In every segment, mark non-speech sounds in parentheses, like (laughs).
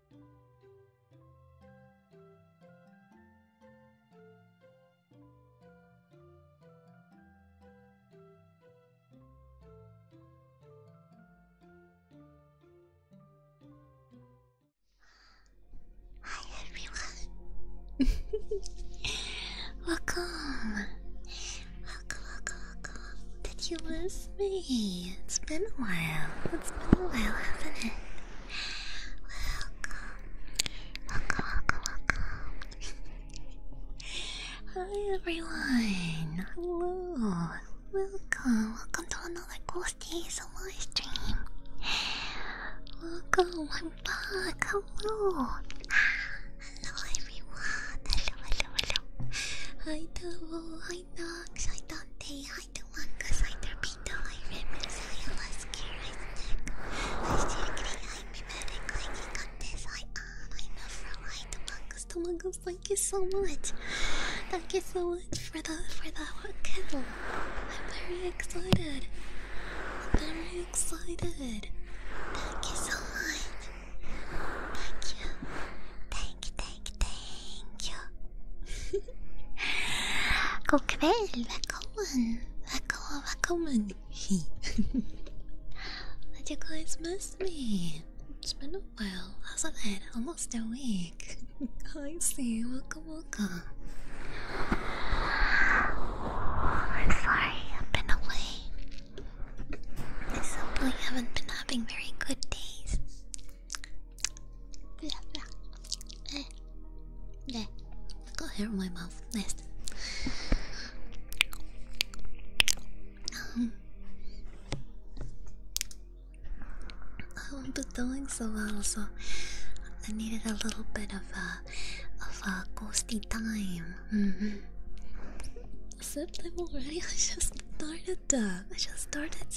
Hi (laughs) everyone! welcome! Welcome, welcome, Did you miss me? It's been a while. It's been a while, haven't it? Welcome, welcome, welcome. Hi everyone. Hello. Welcome, welcome to another Ghost Days live stream. Welcome, I'm back. Hello. Hello everyone. Hello, hello, hello. Hi Double, hi Nox, hi Dante, I the one cause I torpedo, I remember so you was scared I was checking, I'm mimetic, like you got this, I on, I know for why the one the one thank you so much Thank you so much for that. for that one. I'm very excited very excited Thank you so much Thank you Thank, thank, thank Thank you. Good welcome, welcome, welcome. Did you guys miss me? It's been a while, hasn't it? Almost a week. I see. Welcome, welcome. I'm sorry, I've been away. I simply haven't been having very good days. Yeah, I got hair in my mouth. Nice. I haven't doing so well, so I needed a little bit of a uh, of a uh, ghosty time. Mm-hmm. I -hmm. September already? (laughs) I just started that. Uh, I just started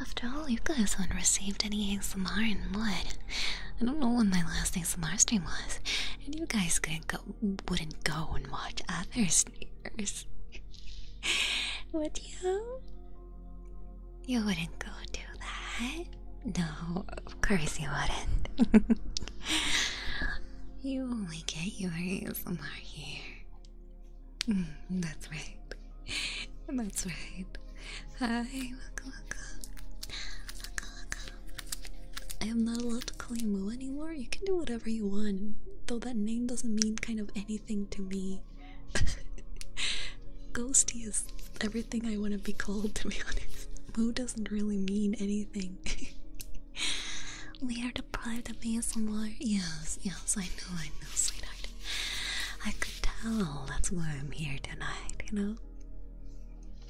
After all, you guys haven't received any ASMR in what? I don't know when my last ASMR stream was, and you guys wouldn't go and watch others, streamers. (laughs) Would you? You wouldn't go do that? No, of course you wouldn't. (laughs) you only get your ASMR here. Mm, that's right. (laughs) That's right. Hi, waka waka. I am not allowed to call you Moo anymore. You can do whatever you want, though that name doesn't mean kind of anything to me. (laughs) Ghosty is everything I want to be called, to be honest. Moo doesn't really mean anything. (laughs) we are deprived of ASMR. Yes, yes, I know, I know, sweetheart. I could tell. That's why I'm here tonight. You know.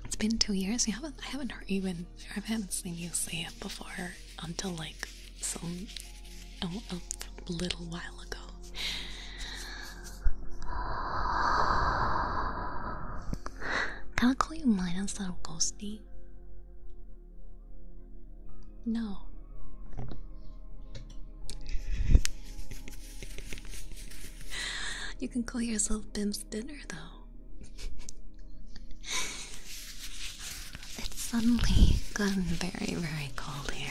It's been two years. I haven't heard you, even. I haven't seen you see it before until like some a little while ago. Can I call you mine instead of ghosty? No. (laughs) you can call yourself Bim's dinner, though. it's suddenly gotten very, very cold here.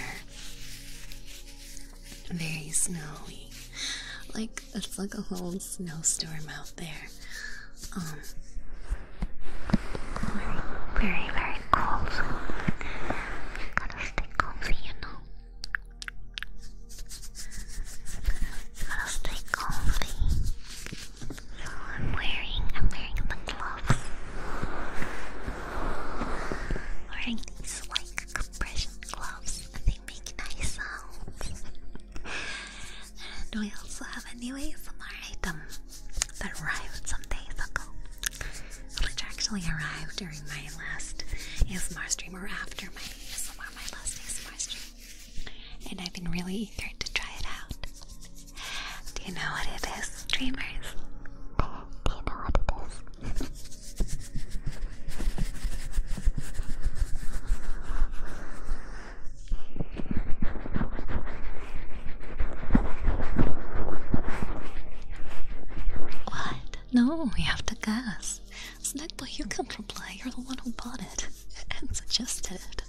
Very snowy. Like, it's like a whole snowstorm out there. Um, very, very, cold. gotta stay cozy, you know. Gotta stay comfy. I'm wearing, I'm wearing the gloves. Wearing these like compression gloves, and they make nice sounds. and we also have a new ASMR item that arrived some days ago which actually arrived during my last ASMR stream or after my last ASMR And I've been really eager to try it out. Do you know what it is, dreamers? Do you know what it is? What? No, we have to guess. Snackboy, you can't reply. You're the one who bought it (laughs) and suggested it.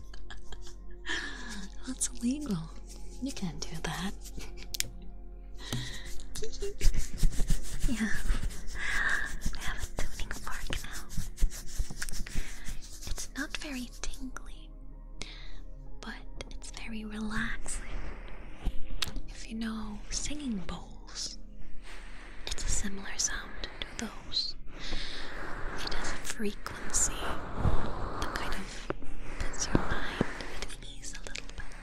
(laughs) That's illegal. You can't do that. (laughs) yeah, we have a tuning fork now. It's not very tingly, but it's very relaxing. If you know singing bowl, it's a similar sound to those. It has a frequency that kind of puts your mind at ease a little bit.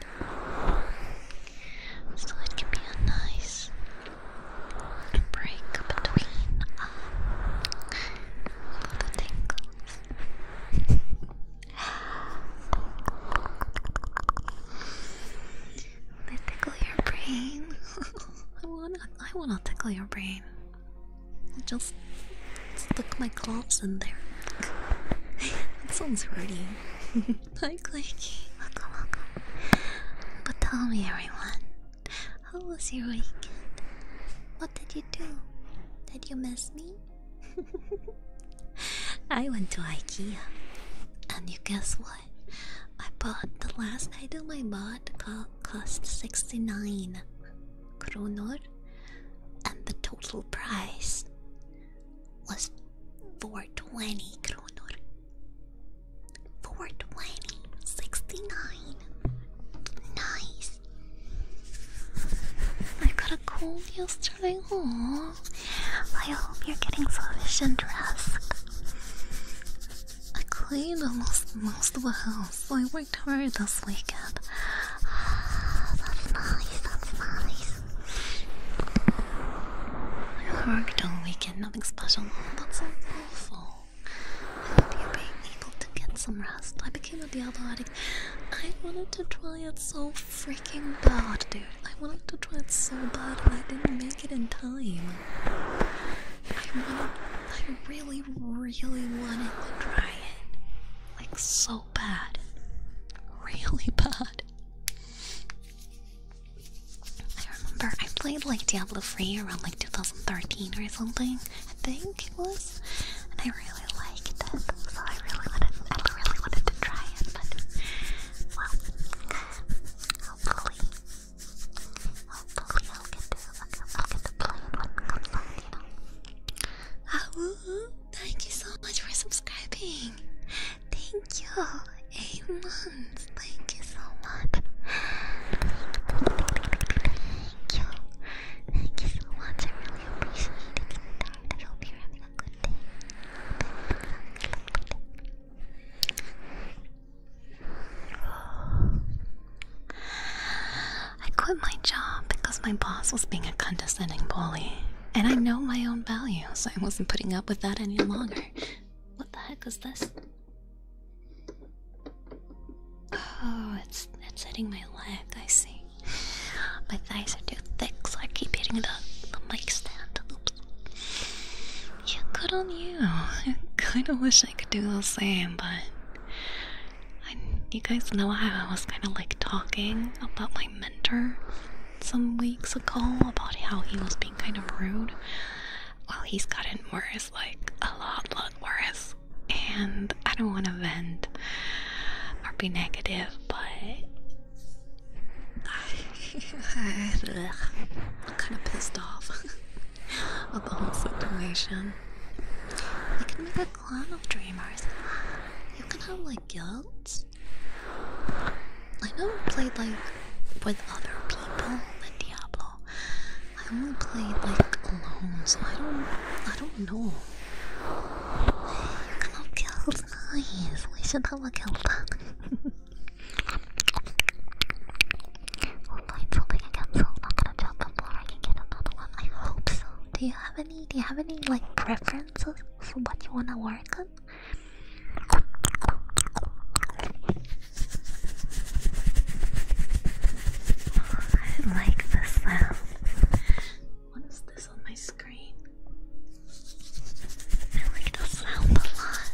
So it can be a nice break between um, all they (laughs) tickle your brain. I want. I want to tickle your brain. Just stick my claws in there. (laughs) that sounds hurty. Hi, Clanky. Welcome, welcome. But tell me, everyone, how was your weekend? What did you do? Did you miss me? (laughs) I went to IKEA, and you guess what? I bought the last item I bought co cost 69 kronor, and the total price was 420 kronor. 420, 69. Nice. I got a cold yesterday. Aww. I hope you're getting sufficient rest. I cleaned almost most of the house. I worked hard this weekend. (sighs) That's nice, that's nice. worked all weekend, nothing special. That's awful. I hope you're being able to get some rest. I became a Diablo addict. I wanted to try it so freaking bad, dude. I wanted to try it so bad, but I didn't make it in time. I wanted, I really, really wanted to try it. Like, so bad. Really bad. I remember I played like Diablo Free around like 2013 or something, I think it was. And I really liked it, so I really wanted, I really wanted to try it, but I'll Thank you so much for subscribing. Thank you. Eight months. Thank you so much. Thank you. Thank you so much. I really appreciate it. I hope you're a good I quit my job because my boss was being a condescending bully, and I know my own value, so I wasn't putting up with that any longer. What the heck is this? Oh, it's it's hitting my leg. I see. My thighs are too thick, so I keep hitting the the mic stand. Oops. Yeah, good on you. (laughs) I kind of wish I could do the same, but I, you guys know how I was kind of like talking about my mentor some weeks ago about how he was being kind of rude. Well, he's gotten worse, like a lot, lot worse. And I don't want to vent or be negative, but (laughs) I'm kind of pissed off (laughs) about the whole situation. I can make a clan of dreamers. You can have like guilds. I never played like with other people in Diablo. I only played like alone, so I don't, I don't know. (sighs) You can have guilds, (laughs) guys. We should have a guild. Hold on, something I cancel. Not gonna drop the I can get another one. I hope so. Do you have any? Do you have any like preferences for what you wanna work on? I like the sound. What is this on my screen? I like the sound a lot.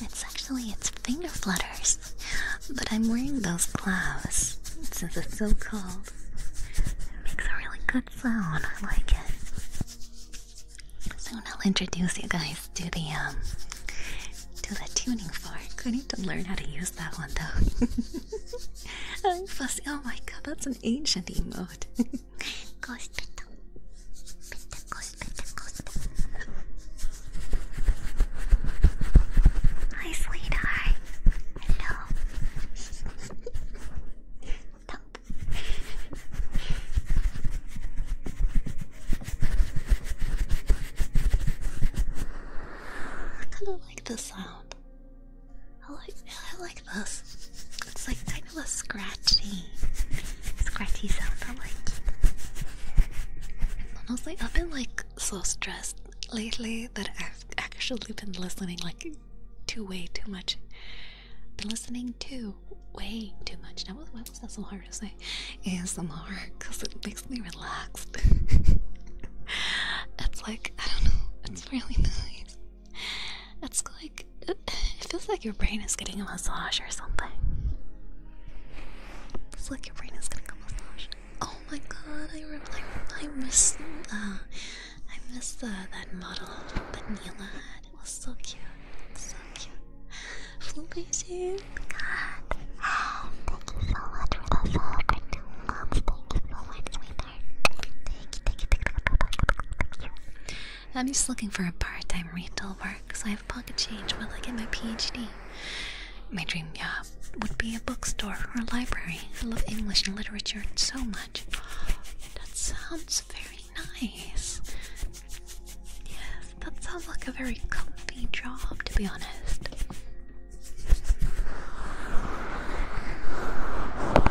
It's actually its finger flutters, but I'm wearing those gloves since it's so cold. It makes a really good sound. I like it. So I'll introduce you guys to the um to the tuning fork. I need to learn how to use that one though. (laughs) Oh my god, that's an ancient emote. (laughs) Ghost Petal. Petal, Ghost Petal, Ghost Hi, sweetheart. Hello. I kind of like the sound. I like I like this. It's like kind of a scratchy, scratchy sound. I like. Honestly, I've been like so stressed lately that I've actually been listening like to way too much. Been listening to way too much. Now, why was that so hard to say? And some ASMR, because it makes me relaxed. (laughs) it's like I don't know. It's really (laughs) nice. It's like it, feels like your brain is getting a massage or something. It's like your brain is getting a massage. Oh my god! I remember, miss I miss uh, that model that Neela It was so cute, so cute. Amazing. God. Thank you so much for the support. Thank you for watching. I'm just looking for a part-time retail work because I have pocket change while I get my PhD. My dream job would be a bookstore or a library. I love English and literature so much. That sounds very nice. Yes, that sounds like a very comfy job, to be honest. Oh,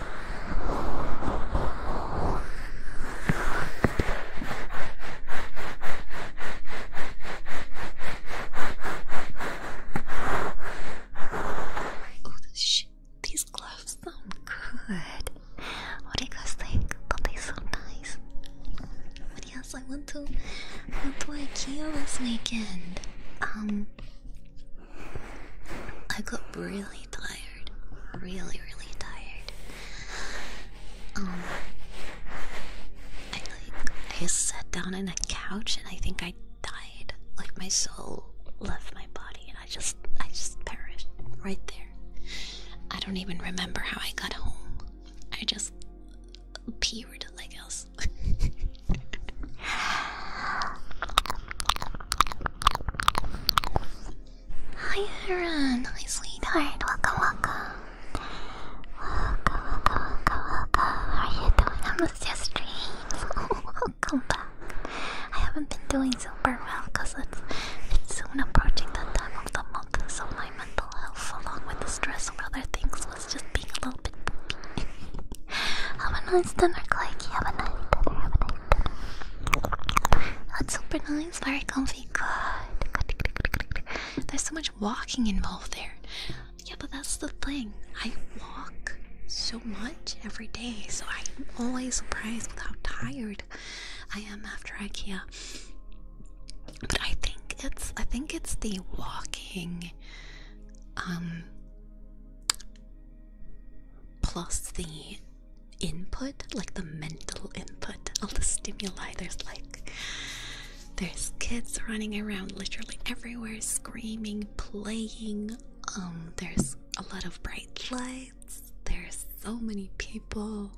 These gloves sound good. What do you guys think? Don't they sound nice? yes, I went to I went to IKEA this weekend. Um, I got really tired Really, really tired. Um, I like I sat down in a couch and I think I died. Like my soul left my body and I just I just perished right there. I don't even remember how I got home. I just peered like else. (laughs) Hi Aaron, hi sweetheart, welcome, welcome. Welcome, welcome, welcome, How are you doing? I missed your streams. (laughs) welcome back. I haven't been doing super well because it's, it's soon approaching the time of the month, so my mental health, along with the stress of other things, was just being a little bit I (laughs) have a nice dinner, You Have a nice dinner. Have a nice That's super nice it's very comfy. Good. There's so much walking involved there. Yeah, but that's the thing. I walk so much every day, so I'm always surprised with how tired I am after IKEA. But I think it's I think it's the walking um plus the input, like the mental input, all the stimuli. There's like, there's kids running around literally everywhere, screaming, playing. Um, there's a lot of bright lights. There's so many people.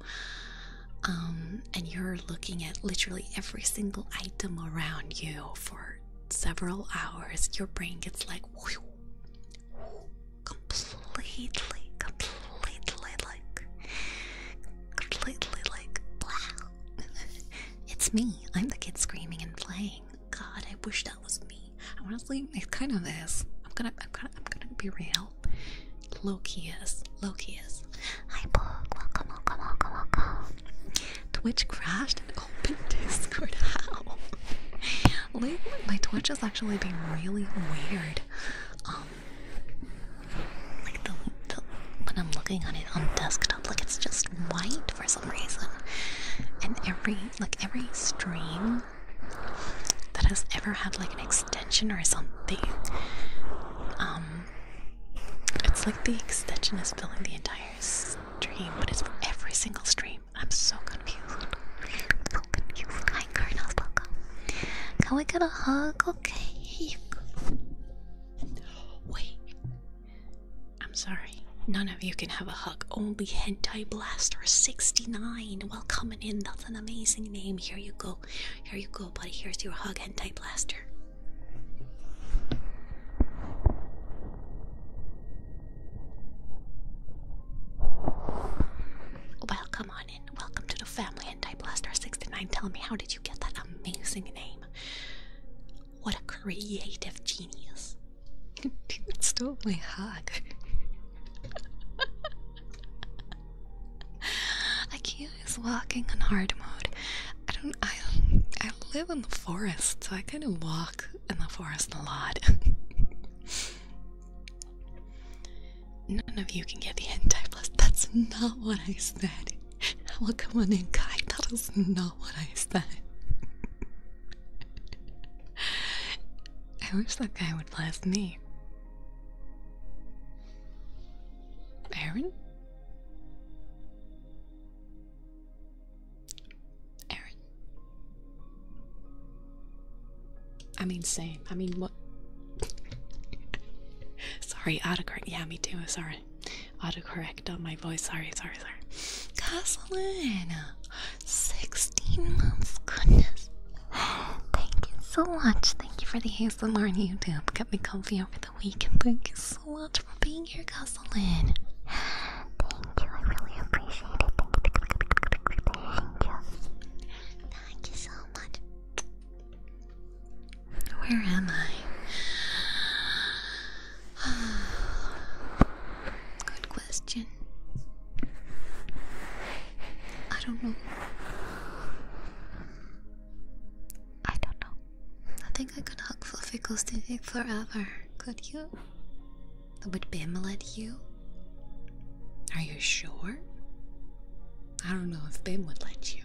Um, and you're looking at literally every single item around you for several hours. Your brain gets like, completely, completely like, completely like, wow. (laughs) it's me. I'm the kid screaming and playing. God, I wish that was me. Honestly, it kind of is. I'm gonna, I'm gonna, I'm gonna be real. Loki is, Loki is. Hi, Book. Welcome, welcome, welcome, welcome. Twitch crashed and opened (laughs) Discord. How? Lately, my Twitch is actually being really weird um, like the, when I'm looking at it on desktop, like it's just white for some reason. And every like every stream that has ever had like an extension or something, um, it's like the extension is filling the entire stream, but it's for every single stream. I'm so confused so Colonel Welcome. Can we get a hug? Okay, here you go. Wait. I'm sorry. None of you can have a hug. Only Hentai Blaster 69. Well, coming in. That's an amazing name. Here you go. Here you go, buddy. Here's your hug, Hentai Blaster. Oh, well, come on welcome to the family. And Blaster69, tell me, how did you get that amazing name? What a creative genius! (laughs) Let's do my hug. (laughs) Ikea is walking in hard mode. I don't. I I live in the forest, so I kind of walk in the forest a lot. (laughs) None of you can get the anti-blast. That's not what I said. (laughs) I Well, come on in, Kai. That is not what I said. (laughs) I wish that guy would blast me. Aaron? Aaron? I mean, same. I mean, what? sorry, autocorrect. Yeah, me too. Sorry. Autocorrect on my voice. Sorry, sorry, sorry. Casalina, 16 months. Goodness. Thank you so much. Thank you for the hazel on YouTube. Kept me comfy over the week. And Thank you so much for being here, Casalina. Thank you. I really appreciate it. Thank you. Thank you so where am I? (sighs) Good question. I don't know. I don't know. I think I could hug Fluffy forever. Could you? Would Bim let you? Are you sure? I don't know if Bim would let you.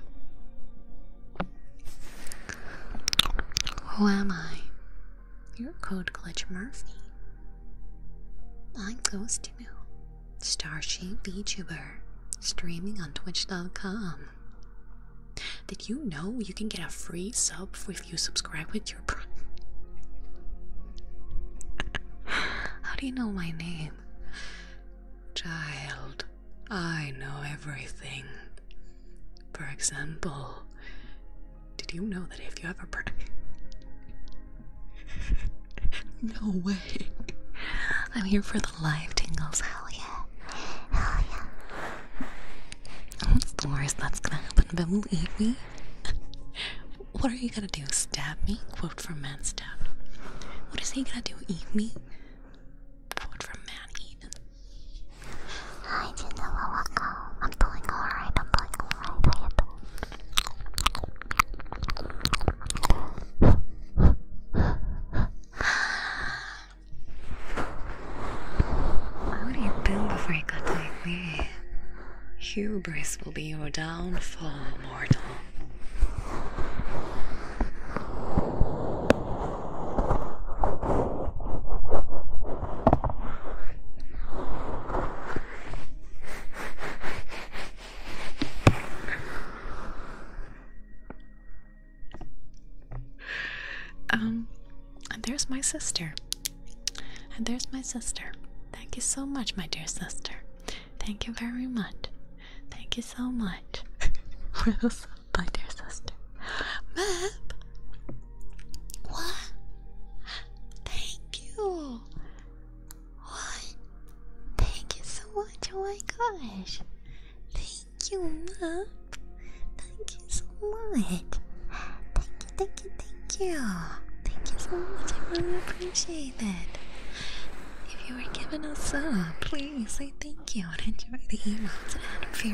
Who am I? You're Code Glitch Murphy. I'm Ghost New, Starship VTuber, streaming on Twitch.com. Did you know you can get a free sub if you subscribe with your (laughs) How do you know my name? Child, I know everything. For example, did you know that if you ever burn? (laughs) no way. I'm here for the live tingles. Hell yeah. Hell yeah. What's the worst that's gonna happen? Believe me. What are you gonna do? Stab me? Quote from Man Stabbed. What is he gonna do? Eat me? Quote from Man Eaten. Hi, Jinawawako. I'm doing alright, I'm doing alright. I what do you think before you got like me? Hubris will be your downfall. Um, and there's my sister. And there's my sister. Thank you so much, my dear sister. Thank you very much. Thank you so much for the sub, my dear sister. Map. What? Thank you. What? Thank you so much. Oh my gosh. Thank you, Map. Thank you so much. Thank you, thank you, thank you. Thank you so much. I really appreciate enjoyed If you were giving us up, please say thank you and enjoy the emotes and add uh, free,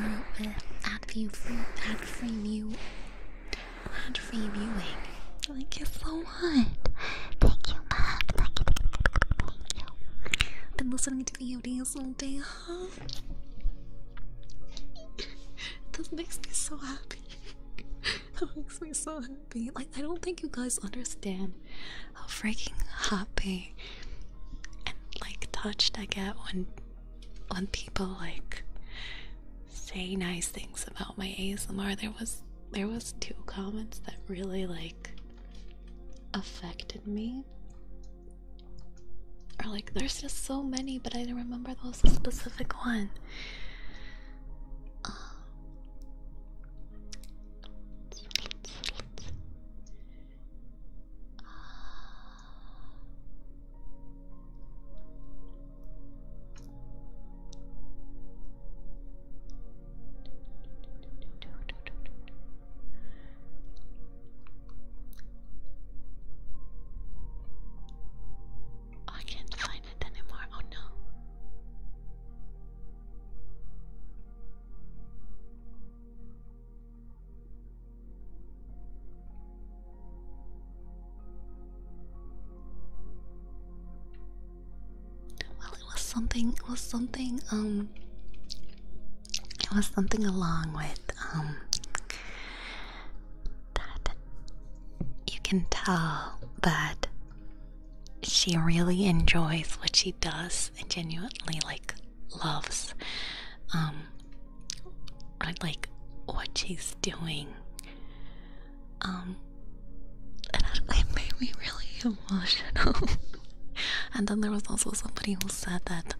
add view, add free view, add free viewing. Thank you so much. Thank you, I've been listening to VODs all day, huh? this makes me so happy. that (laughs) makes me so happy. Like I don't think you guys understand how freaking happy and like touched I get when when people like say nice things about my ASMR. There was there was two comments that really like affected me. Or like there's just so many, but I don't remember there was a specific one. Um, I can't find it anymore. Oh no. Well, it was something. It was something. Um, it was something along with um that you can tell that she really enjoys what she does and genuinely like loves um like what she's doing um it made me really emotional (laughs) and then there was also somebody who said that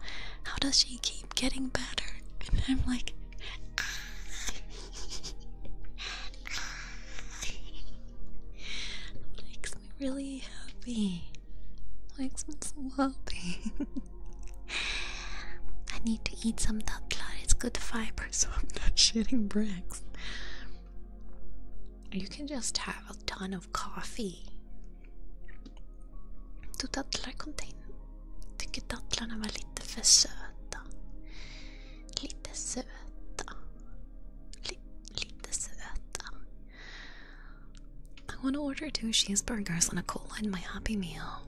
how does she keep getting better and i'm like (laughs) ah makes me really happy. Makes me so happy. (laughs) I need to eat some that blood. It's good fiber, so I'm not (laughs) shitting bricks. You can just have a ton of coffee. Du tattlar container. Tycker tattlarna var lite för söta. Lite söta. Li lite I want to order two cheeseburgers and a cola in my Happy Meal.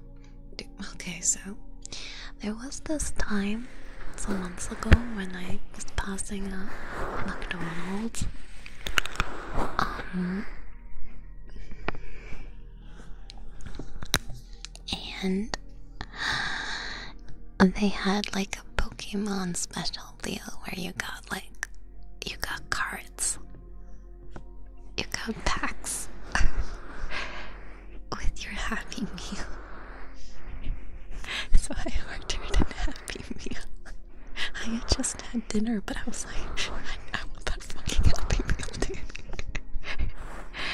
okay, so there was this time some months ago when I was passing a McDonald's. Um, and they had like a Pokemon special deal where you got like you got cards. You got packs (laughs) with your happy meal. (laughs) So I ordered a happy meal. I had just had dinner, but I was like, I, want that fucking happy meal, dude.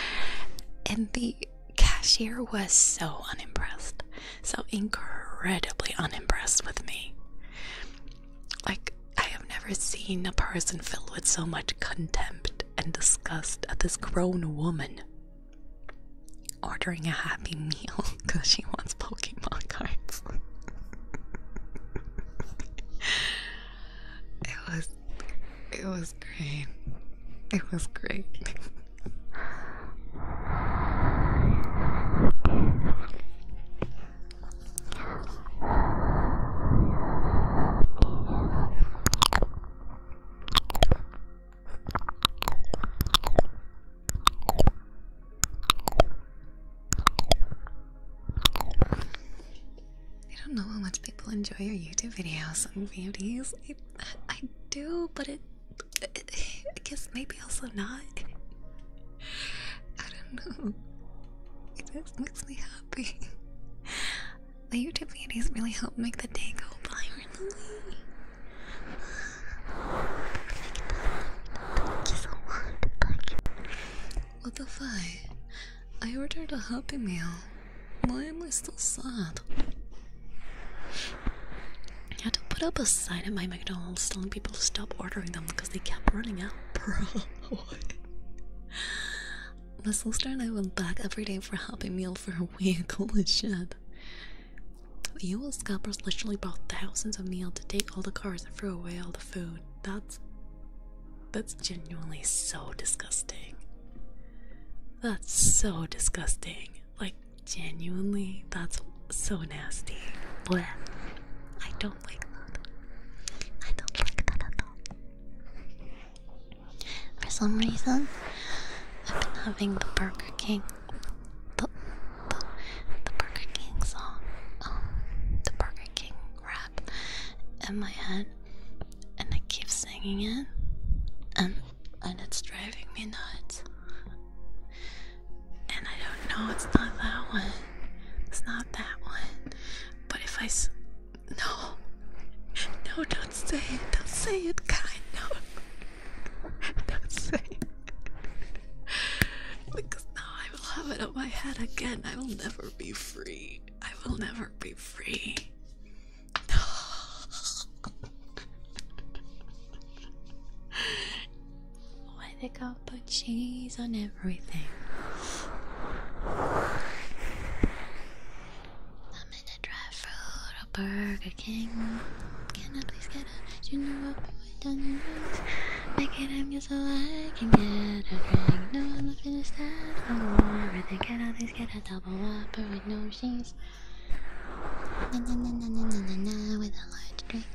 (laughs) and the cashier was so unimpressed, so incredibly unimpressed with me. Like, I have never seen a person filled with so much contempt and disgust at this grown woman ordering a happy meal because (laughs) she wants Pokemon cards. (laughs) it was it was great. It was great. I don't know how much people enjoy your YouTube videos and beauties. I, I do, but it I guess maybe also not. I don't know. It just makes me happy. The YouTube videos really help make the day go by, really. What the fuck? I ordered a Happy Meal. Why am I still sad? I had to put up a sign at my McDonald's telling people to stop ordering them because they kept running out. (laughs) Bro, my sister and I went back every day for a happy meal for a week. (laughs) Holy shit. The U.S. scalpers literally bought thousands of meals to take all the cars and throw away all the food. That's that's genuinely so disgusting. That's so disgusting. Like Genuinely, that's so nasty. Blech. I don't like that. I don't like that at all. For some reason, I've been having the Burger King, the, the Burger King song, um, the Burger King rap in my head, and I keep singing it, and and it's driving me nuts. And I don't know, it's not that one. It's not that one. But if I. S no. (laughs) No, don't say it. Don't say it, God. No. (laughs) Don't say it. (laughs) because now I will have it up my head again. I will never be free. I will never be free. (sighs) No. Why they gotta put cheese on everything? I'm in a drive food, a Burger King. Can I please get a junior up with done drinks? Make it happen so I can get a drink. No, I'm not finished that. I'm everything. Can all these, get a double whopper with no cheese? Na na na na na na na with a large drink.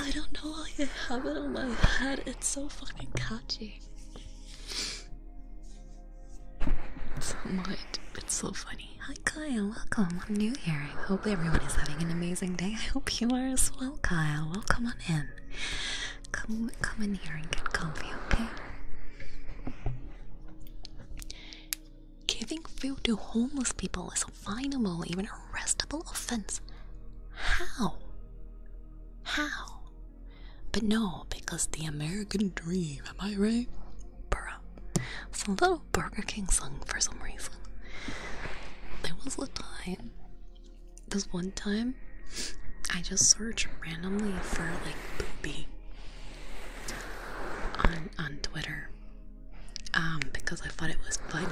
I don't know why you have it on my head. It's so fucking catchy. It's So much. It's so funny. Hi Kyle, welcome. I'm new here. I hope everyone is having an amazing day. I hope you are as well, Kyle. Welcome on in. Come, come in here and get comfy, okay? Giving food to homeless people is a finable, even arrestable offense. How? How? But no, because the American dream, am I right? Bruh. It's a little Burger King song for some reason. There was a time this one time I just searched randomly for like booby on on Twitter. Um, because I thought it was funny.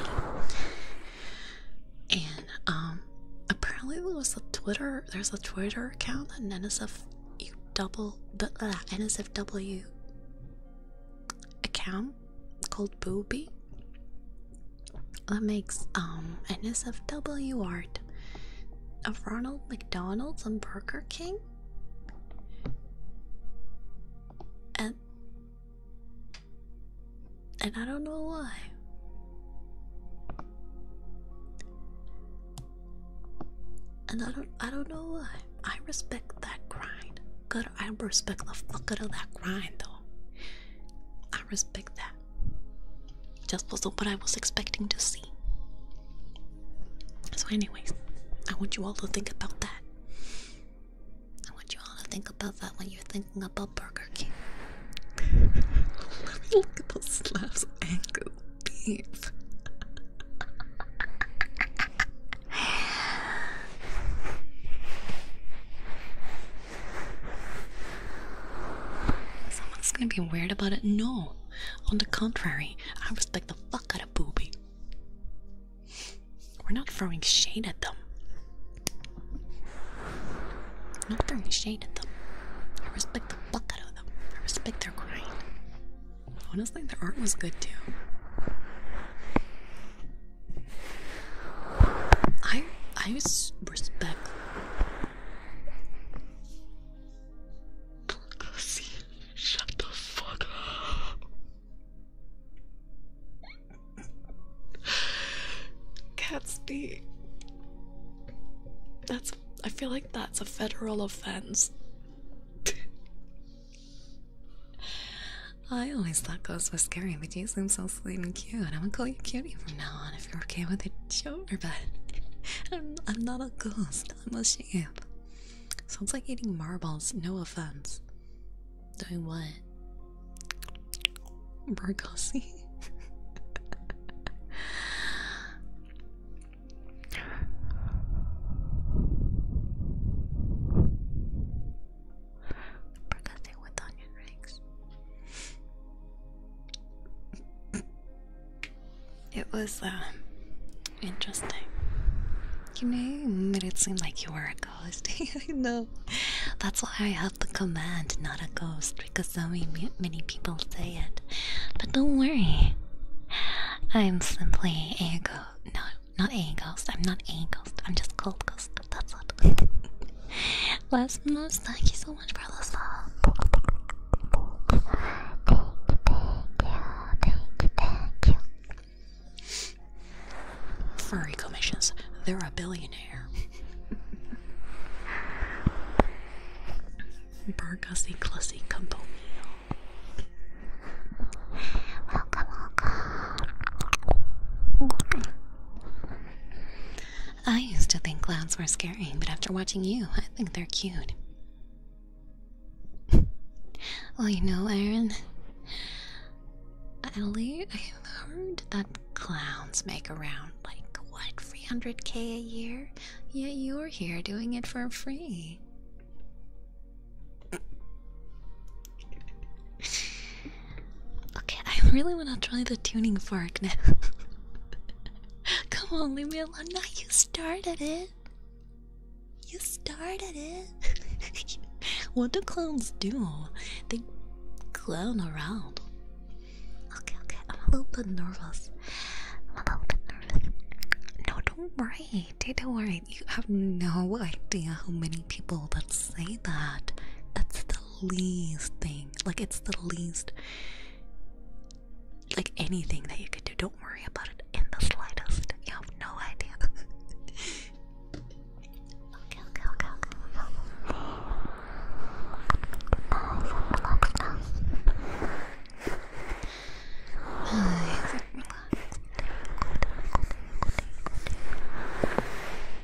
And um, apparently there was a Twitter there's a Twitter account an NSFW double NSFW account called Booby that makes um NSFW art of Ronald McDonald's and Burger King. And and I don't know why. And I don't I don't know why. I respect that grind. Good I respect the fuck out of that grind though. I respect that. Just wasn't what I was expecting to see. So, anyways, I want you all to think about that. I want you all to think about that when you're thinking about Burger King. Let (laughs) me look at those slabs of angle beef. (laughs) Someone's gonna be weird about it. No, on the contrary, I respect the fuck out of Booby. We're not throwing shade at them. not throwing shade at them. I respect the fuck out of them. I respect their grind. Honestly, their art was good too. I I respect. Cassie, shut the fuck up. Cat's D. That's. I feel like that's a federal offense. (laughs) I always thought ghosts were scary, but you seem so sweet cute. I'm gonna call you cutie from now on if you're okay with it. Sure, but (laughs) I'm, not a ghost. I'm a shape. Sounds like eating marbles. No offense. Doing what? Burgossi? (laughs) Burger with onion rings. It was uh, interesting. You made it seem like you were a ghost. (laughs) I know. That's why I have the command, not a ghost, because so many people say it. But don't worry. I'm simply a ghost. No, not a ghost. I'm not a ghost. I'm just cold ghost. That's what. (laughs) Last but minutes, thank you so much for the song. Furry commissions, they're a billionaire. Welcome, welcome. I used to think clowns were scary, but after watching you, I think they're cute. (laughs) well, you know, Aaron, Ellie, I heard that clowns make around like what 300k a year, yet you're here doing it for free. (laughs) Okay, I really wanna try the tuning fork now. (laughs) Come on, leave me alone. Now you started it. You started it. (laughs) what do clowns do? They clown around. Okay, okay, I'm a little bit nervous. I'm a little bit nervous. No, don't worry. Don't worry. You have no idea how many people that say that. That's the least thing. Like, it's the least, like, anything that you could do. Don't worry about it in the slightest. You have no idea. (laughs) okay, okay, okay, okay.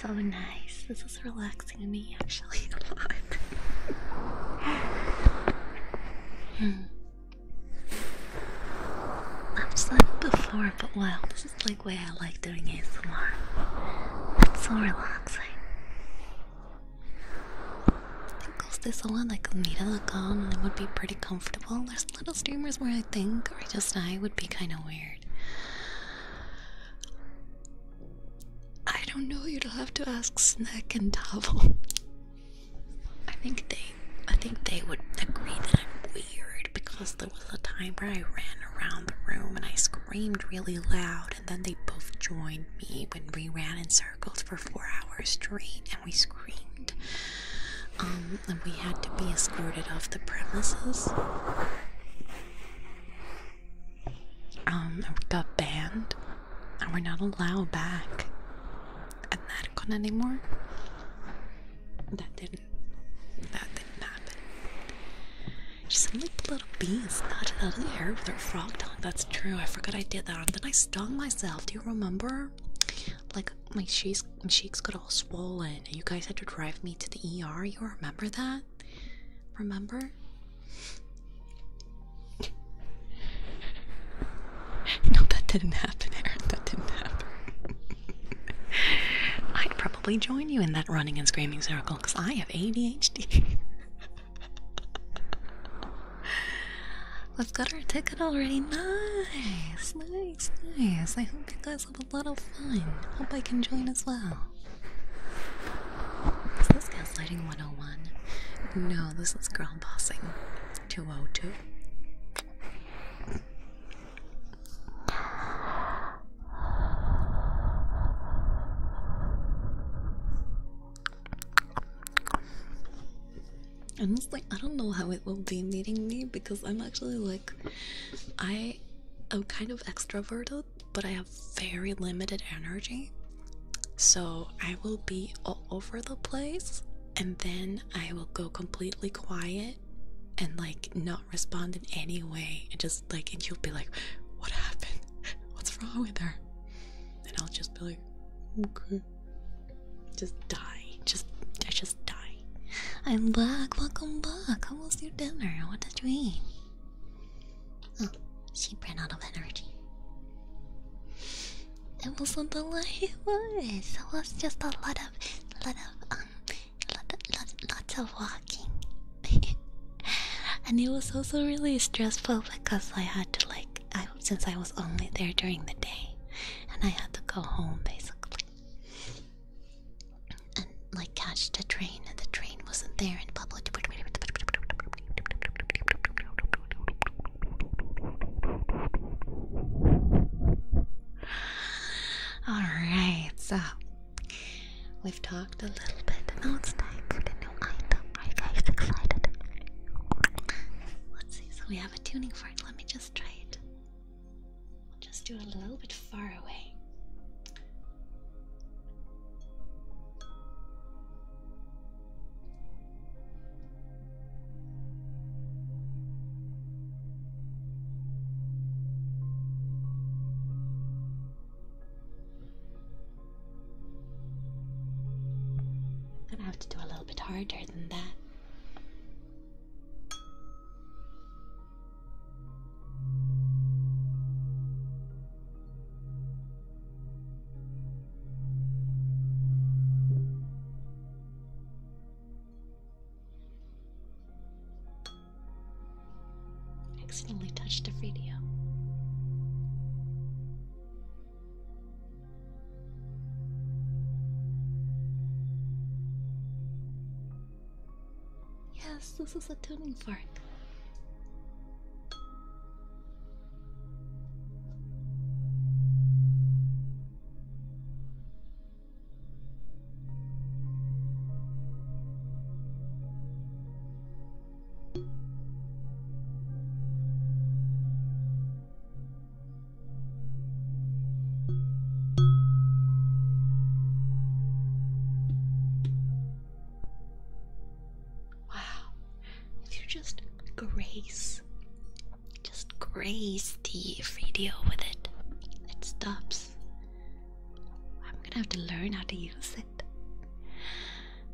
So nice. This is relaxing me actually a lot. Hmm. I've said before, but wow, this is like way I like doing it. So much. It's so relaxing. Close this one like Mira.com and it would be pretty comfortable. There's little streamers where I think or just I would be kind of weird. I don't know. You'd have to ask Snack and Tavo. I think they, I think they would agree that I'm weird because there was a time where I ran around the room and I screamed really loud, and then they both joined me when we ran in circles for four hours straight, and we screamed. Um, and we had to be escorted off the premises. Um, we got banned, we're not allowed back at Narcon anymore. That didn't. That didn't happen. She sounded like the little bees knotted out of the air with her frog tongue. That's true. I forgot I did that. And then I stung myself. Do you remember? Like my cheeks, my cheeks got all swollen. You guys had to drive me to the ER. You remember that? Remember? (laughs) No, that didn't happen, Aaron. That didn't happen. (laughs) I'd probably join you in that running and screaming circle because I have ADHD. (laughs) We've got our ticket already. Nice, nice, nice. I hope you guys have a lot of fun. Hope I can join as well. This guy's lighting 101? No, this is girl bossing 202. Honestly, I don't know how it will be meeting me because I'm actually like, I am kind of extroverted, but I have very limited energy. So I will be all over the place and then I will go completely quiet and like not respond in any way and just like, and you'll be like, what happened? (laughs) What's wrong with her? And I'll just be like, okay. Just die. Just, I just die. I'm back. Welcome back. How was your dinner? What did you eat? Oh, she ran out of energy. It wasn't a lot it was. It was just a lot of, lot of, um, lot, lot, lots of walking. (laughs) and it was also really stressful because I had to like, I since I was only there during the day and I had to go home basically. And like catch the train and the train wasn't there in public. Alright, so we've talked a little bit. Now it's time for the new item. Are you guys excited? Let's see, so we have a tuning fork. Let me just try it. We'll just do it a little bit far away. I'm gonna have to do a little bit harder than that accidentally touched a video. Yes, this is a tuning fork. Wow, if you just grace, just grace the video with it, it stops. I'm gonna have to learn how to use it.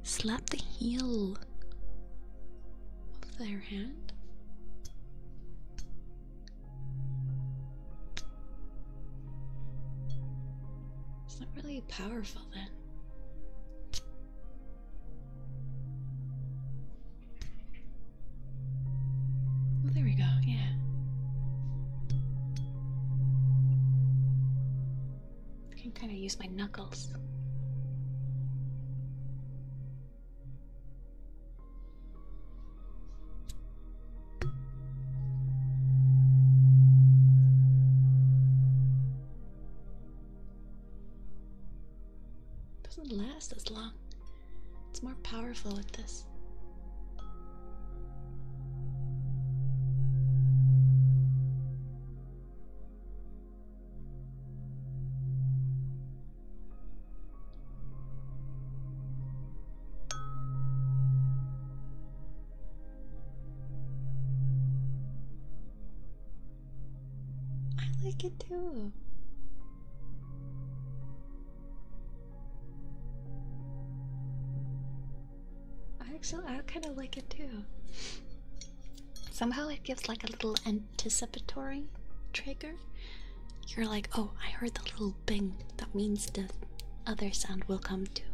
Slap the heel of their hand. It's not really powerful then. Well, there we go, yeah. I can kind of use my knuckles. It Doesn't last as long. It's more powerful with this. I like it too. I actually I kind of like it too. Somehow it gives like a little anticipatory trigger. You're like, oh, I heard the little bing. That means the other sound will come too.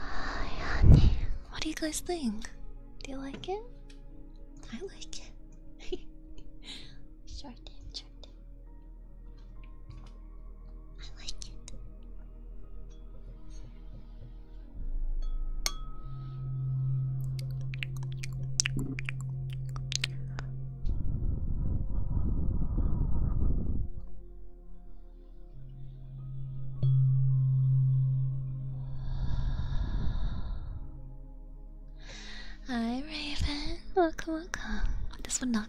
Hi, honey. What do you guys think? Do you like it? I like it. (laughs) short, short. I like it. Hi Raven, welcome, welcome. This would not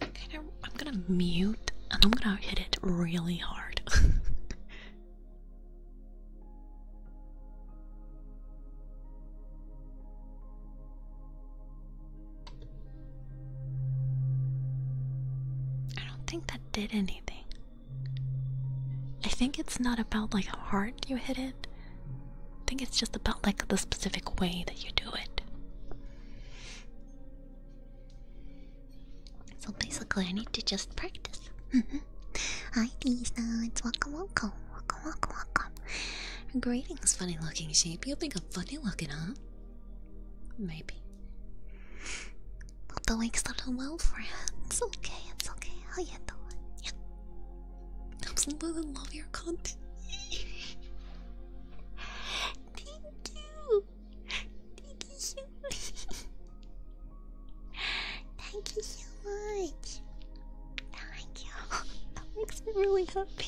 I'm gonna, mute and I'm gonna hit it really hard. (laughs) I don't think that did anything. I think it's not about like how hard you hit it. I think it's just about like the specific way that you do it. So basically, I need to just practice. Hi, mm-hmm. uh, T-Studs. Welcome, welcome. Welcome, welcome, welcome. Greetings, funny looking sheep. You think I'm funny looking, huh? Maybe. The week's not well, friends. Okay, it's okay. How you doing? Yeah. Absolutely love your content. Thank you. Thank you so much. Thank you so much. Thank you. That makes me really happy.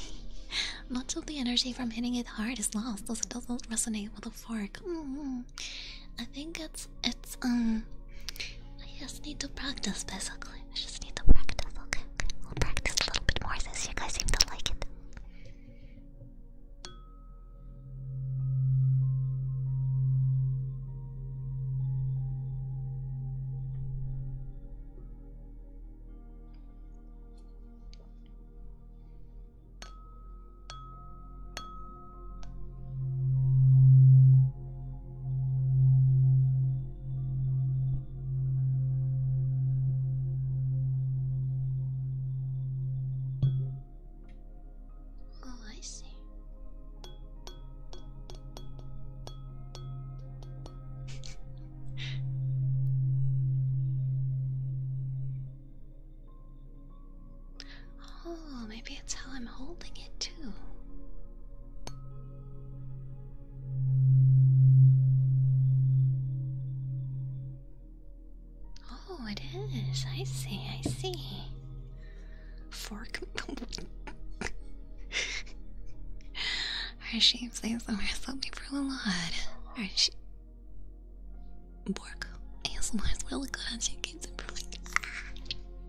Much of the energy from hitting it hard is lost as it doesn't resonate with the fork. Mm-hmm. I think it's it's um. I just need to practice basically. I just need to practice. Okay, okay. We'll practice a little bit more since you guys seem to like it. Oh, I see. (laughs) Oh, maybe it's how I'm holding it too. Oh, it is. I see, I see. Fork. Hershey, please don't slap me for a lot. Hershey. Bork. ASMR is really good at you. Keeps improving.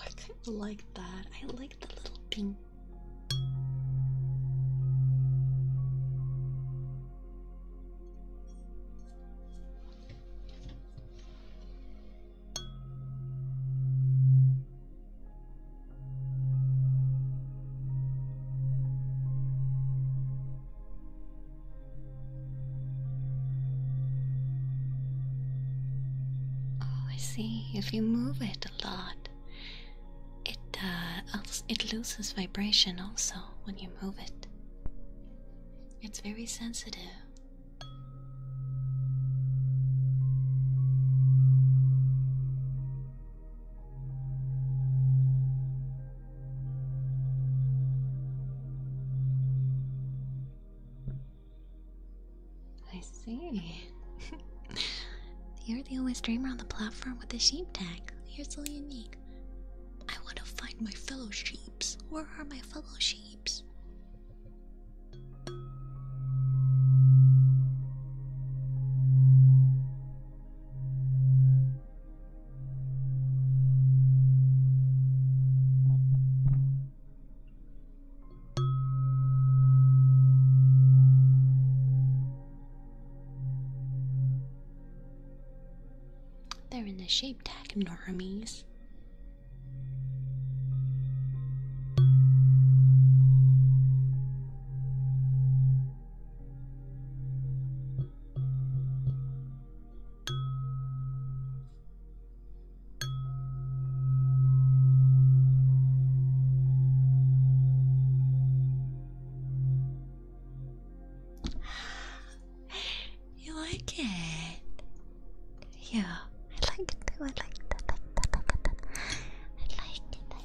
I kind of like that. I like the little pink. Oh, I see. If you move it a lot, it uh, it loses vibration also when you move it. It's very sensitive. I see. (laughs) You're the only streamer on the platform with a sheep tag. You're so unique. I want to find my fellow sheeps. Where are my fellow sheeps? They're in the shape tag, normies. (sighs) You like it? Yeah, I like it too. I like that. I like that. I like that. I like it.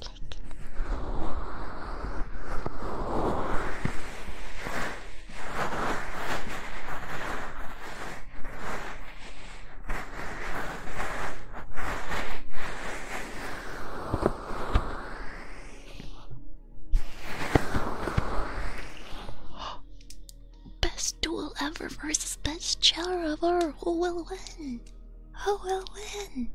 I like it. Best duel ever versus best chair ever. Who will win? Who will win?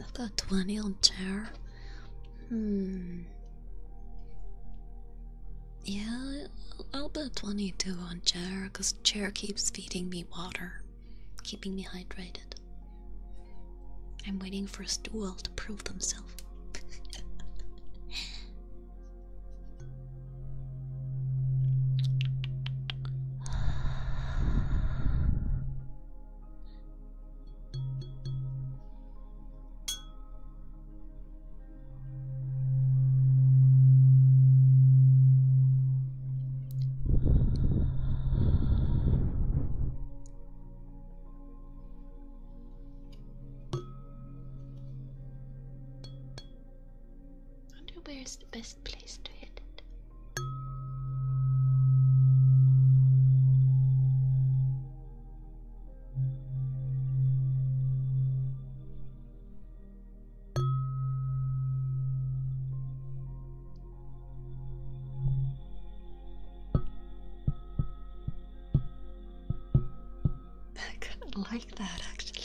I've got 20 on chair. Hmm. Yeah, I'll bet 22 on Chair because Chair keeps feeding me water, keeping me hydrated. I'm waiting for Stool to prove himself. I wonder where is the best place to hit it. I kind of like that actually.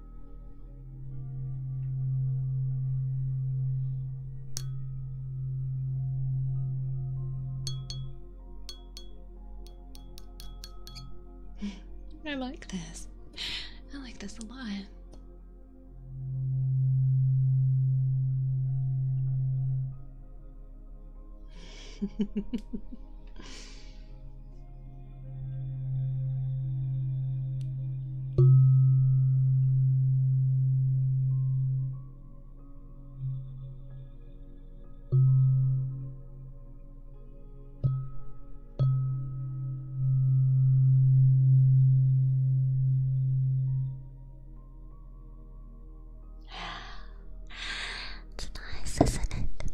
I like this. I like this a lot. (laughs) It's nice, isn't it?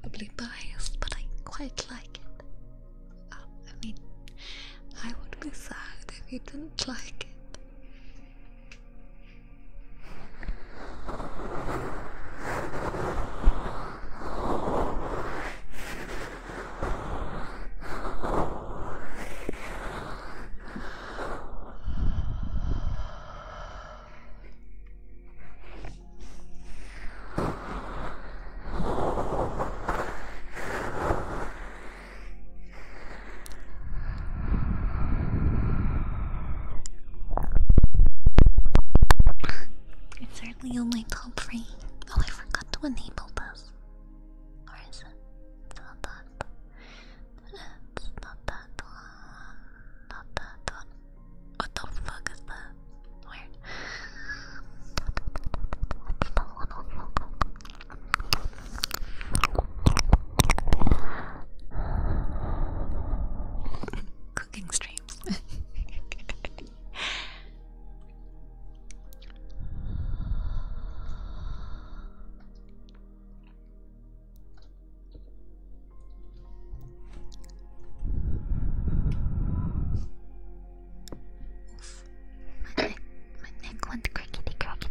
Probably biased, but I quite like it. Um, I mean, I would be sad if you didn't like it. It's certainly only my top three. Oh, I forgot to enable this. Or is it? It's not that's not that one. Not that one. What the fuck is that? Weird. Cooking streams. Oof. My neck, my neck went crickety crickety.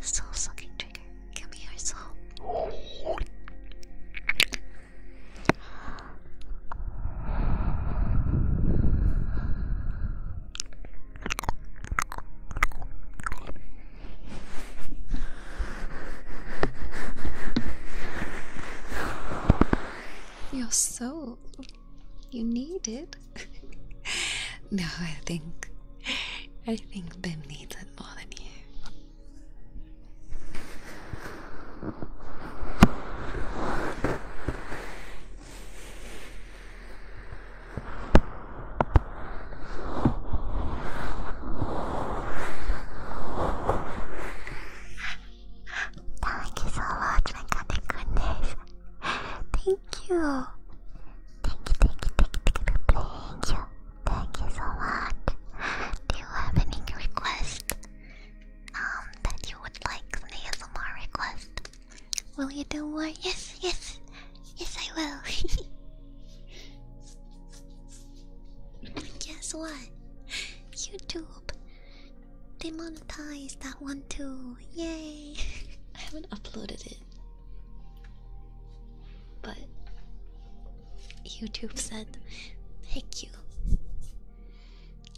Soul sucking trigger. Give me your soul. Your soul. You need it. (laughs) no, I think I think Ben needs it more than you. Thank you so much, my god, my Thank you. Thank you, thank you, thank you, thank you. Thank you so much. Do you have any request? Um, that you would like an ASMR request? Will you do more? Yes, yes. Yes, I will. (laughs) Guess what? YouTube demonetized that one too. Yay! (laughs) I haven't uploaded it. But YouTube said, thank you.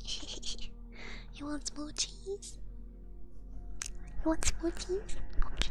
(laughs) you want more cheese? You want smoothies? Okay.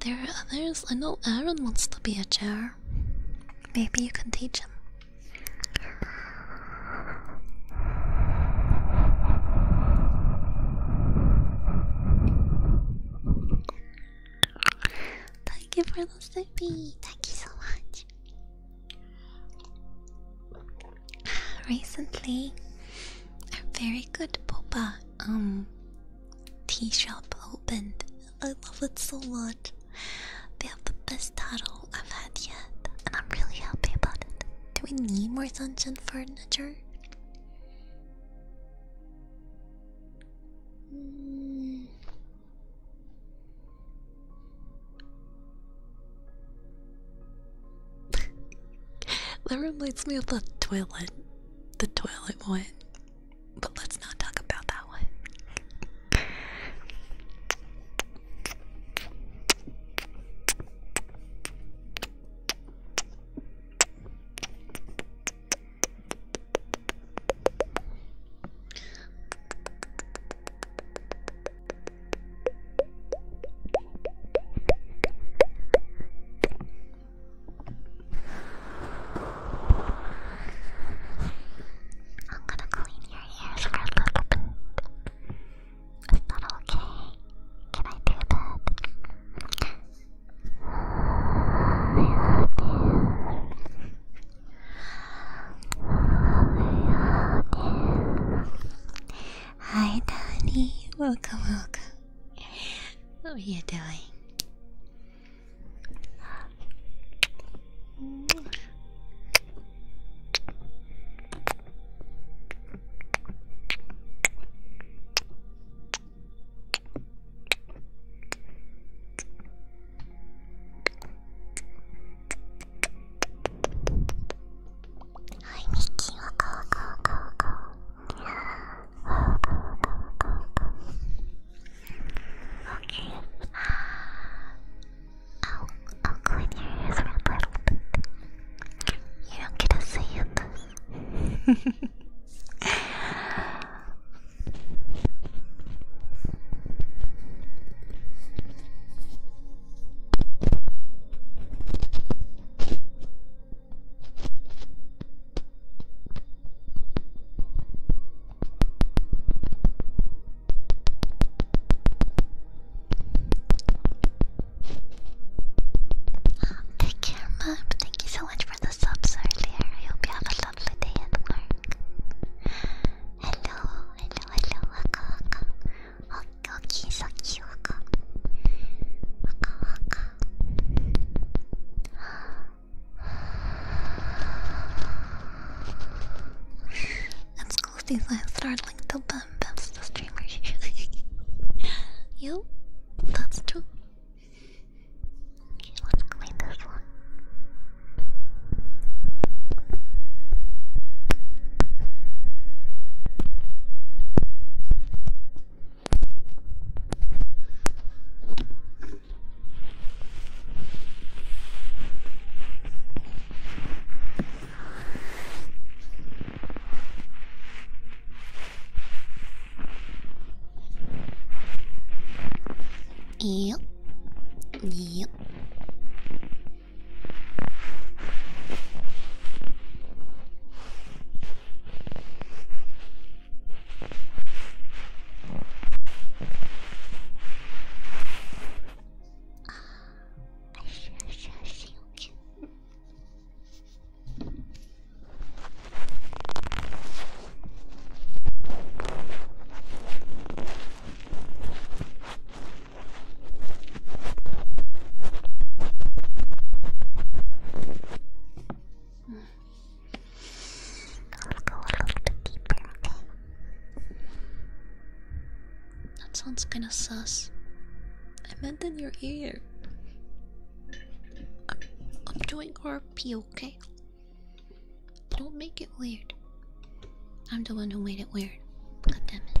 There are others. I know Aaron wants to be a chair. Maybe you can teach him. Thank you for the sippy. Thank you so much. Recently, a very good popa um tea shop opened. I love it so much. They have the best taro I've had yet, and I'm really happy about it. Do we need more dungeon furniture? Hmm. (laughs) that reminds me of the toilet, the toilet one. But let's not talk about that one. I'm gonna clean your hair for a little bit. Is not okay? Can I do that? I Hi, Danny. Welcome, welcome. How are you doing? いミッキーは顔顔顔顔顔顔顔顔 OK あ I'll, I'll clean your ears around a little bit. You don't get a say this. Camera, thank you so much for the subs earlier. I hope you have a lovely day at work. Hello, hello, hello, waka waka. Okie okie, saki waka. Waka waka these are startling to bump That's the streamers. (laughs) you? That's true. let's clean this one. いいよいいよあしよしよし cute. Mm. go a little bit deeper, okay? That sounds kinda sus. I meant in your ear. I'm, doing RP, okay? Don't make it weird. I'm the one who made it weird. God damn it.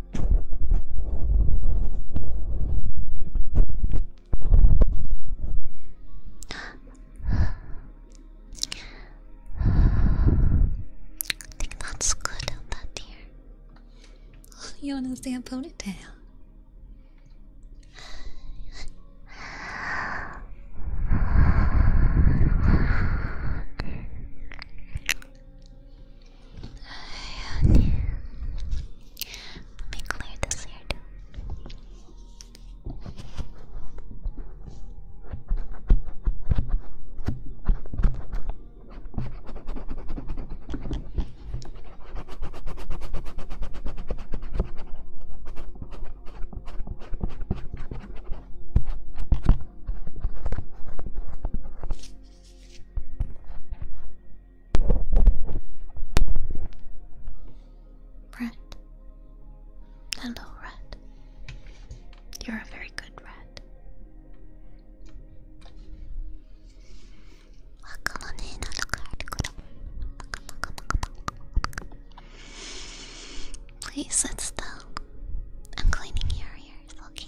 I think that's good on that dear. Oh, you wanna see a ponytail? (laughs) Let me clear this here Red. Hello, Red. You're a very good Red. Please sit still. I'm cleaning your ears, okay?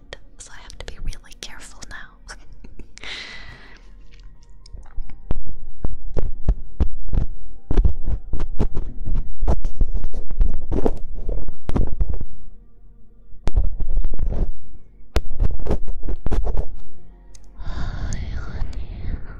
so I have to be really careful now. Hi, honey. Oh, yeah.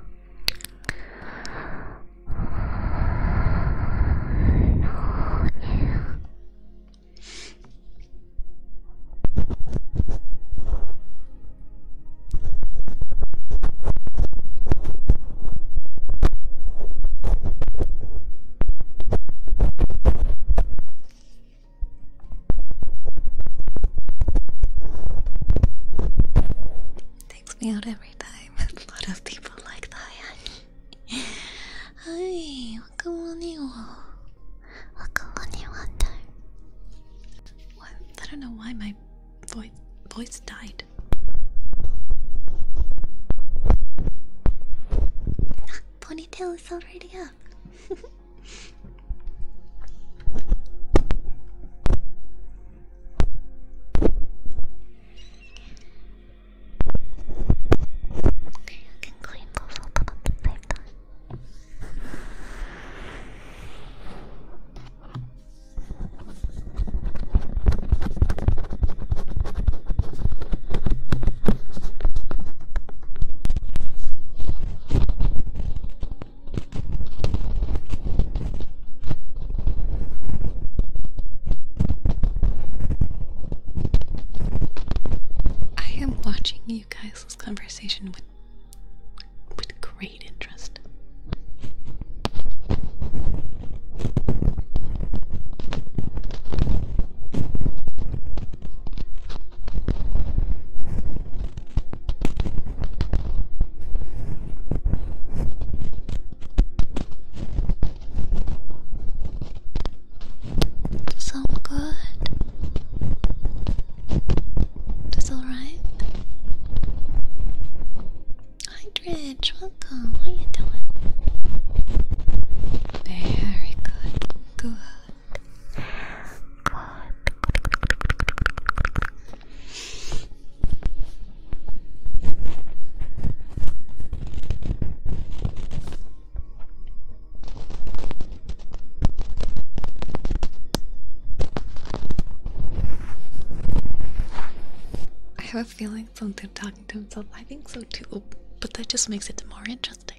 Takes me out every time. (laughs) A lot of people like that. はい、若者には若者にはだ I don't know why my voice voice died. ponytail is already up. (laughs) Okay, I can clean both of them the same time. I i am watching you guys' this conversation with with great interest. Does sound good? That's alright? Hi Dredge, welcome. How you doing? Very good. Good. Good. I have a feeling something talking to himself. I think so too, but that just makes it more interesting.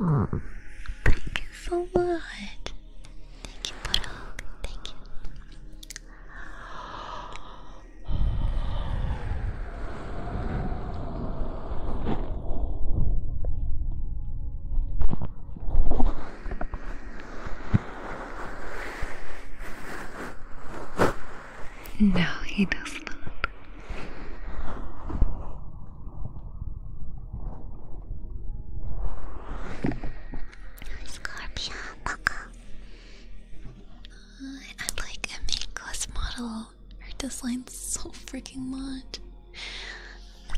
Mm. Thank you so much. Thank you, Parag. Thank you. No, he does not. Scorpion, Buckle. Uh, I like a Minko's model out her designs so freaking much.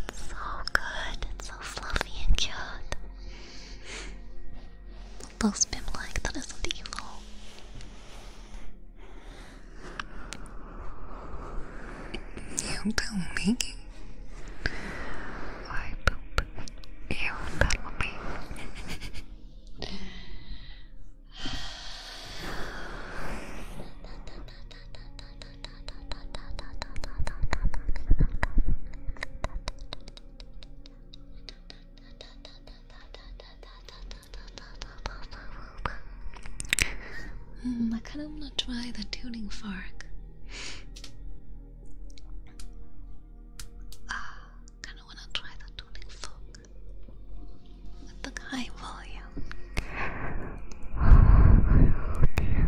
It's so good. It's so fluffy and cute. Those bim that evil. You tell me. I poop. You tell me. (laughs) Mm, I kind of want to try the tuning fork. Ah, kind of want to try the tuning fork with the high volume. okay.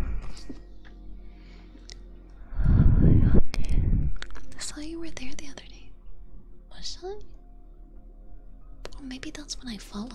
okay. I saw you were there the other day. Was I? maybe that's when I followed.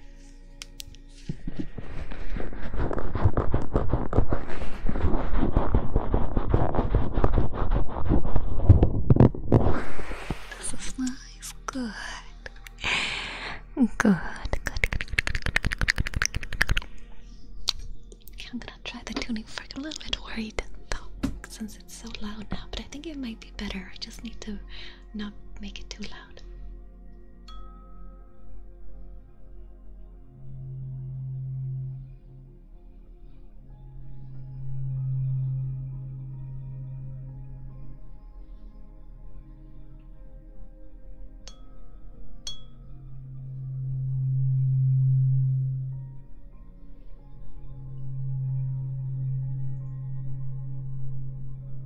This is nice. Good. Good. Good. I'm gonna try the tuning fork. a little bit worried though, since it's so loud now. But I think it might be better. I just need to not make it too loud.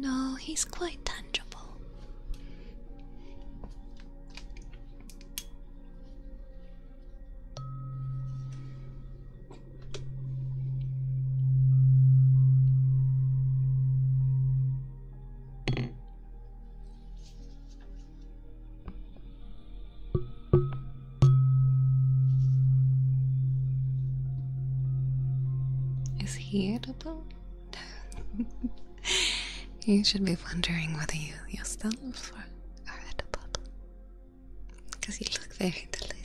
No, he's quite tangible. Is he edible? (laughs) (laughs) you should be wondering whether you yourself are, are at a bubble. Because you look very delicious.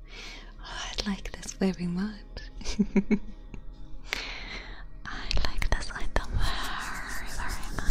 Oh, I like this very much. (laughs) I like this item very, very much.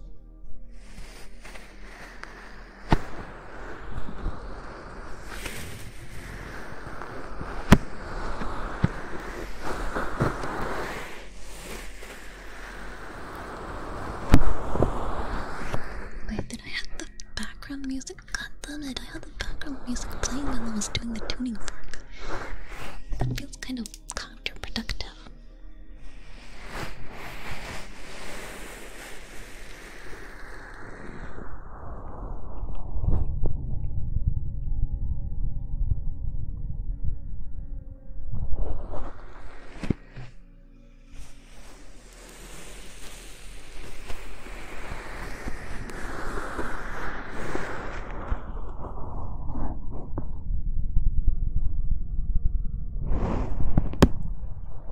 Wait, did I have the background music? God damn it, I had the background music playing while I was doing the tuning fork. That feels kind of counterproductive.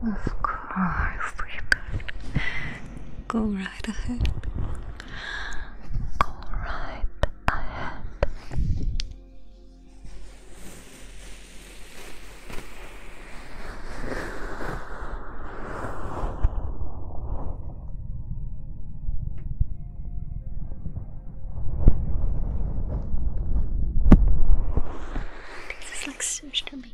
Of course, sweetheart. Go right ahead. Go right ahead. This is like such to me.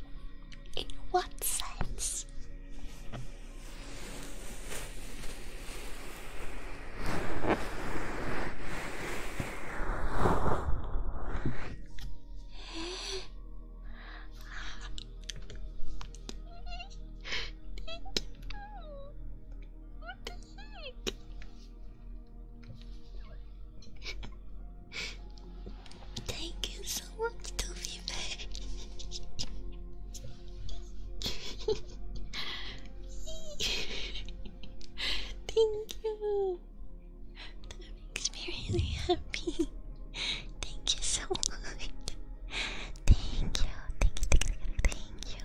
In what sense? (gasps) Thank you so much, Toby Bear. Thank you. That makes me really happy. Thank you so much. Thank you. Thank you. Thank you.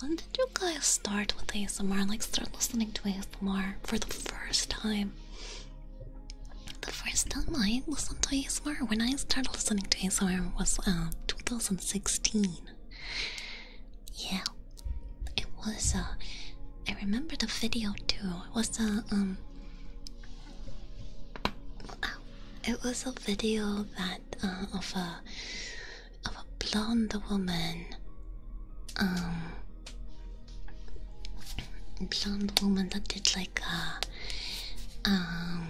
When did you guys start with ASMR? Like, start listening to ASMR for the first time? The first time I listened to ASMR, when I started listening to ASMR, was uh, 2016. Yeah, it was. Uh, I remember the video too. It was a uh, um. It was a video that uh, of a of a blonde woman, um, blonde woman that did like a um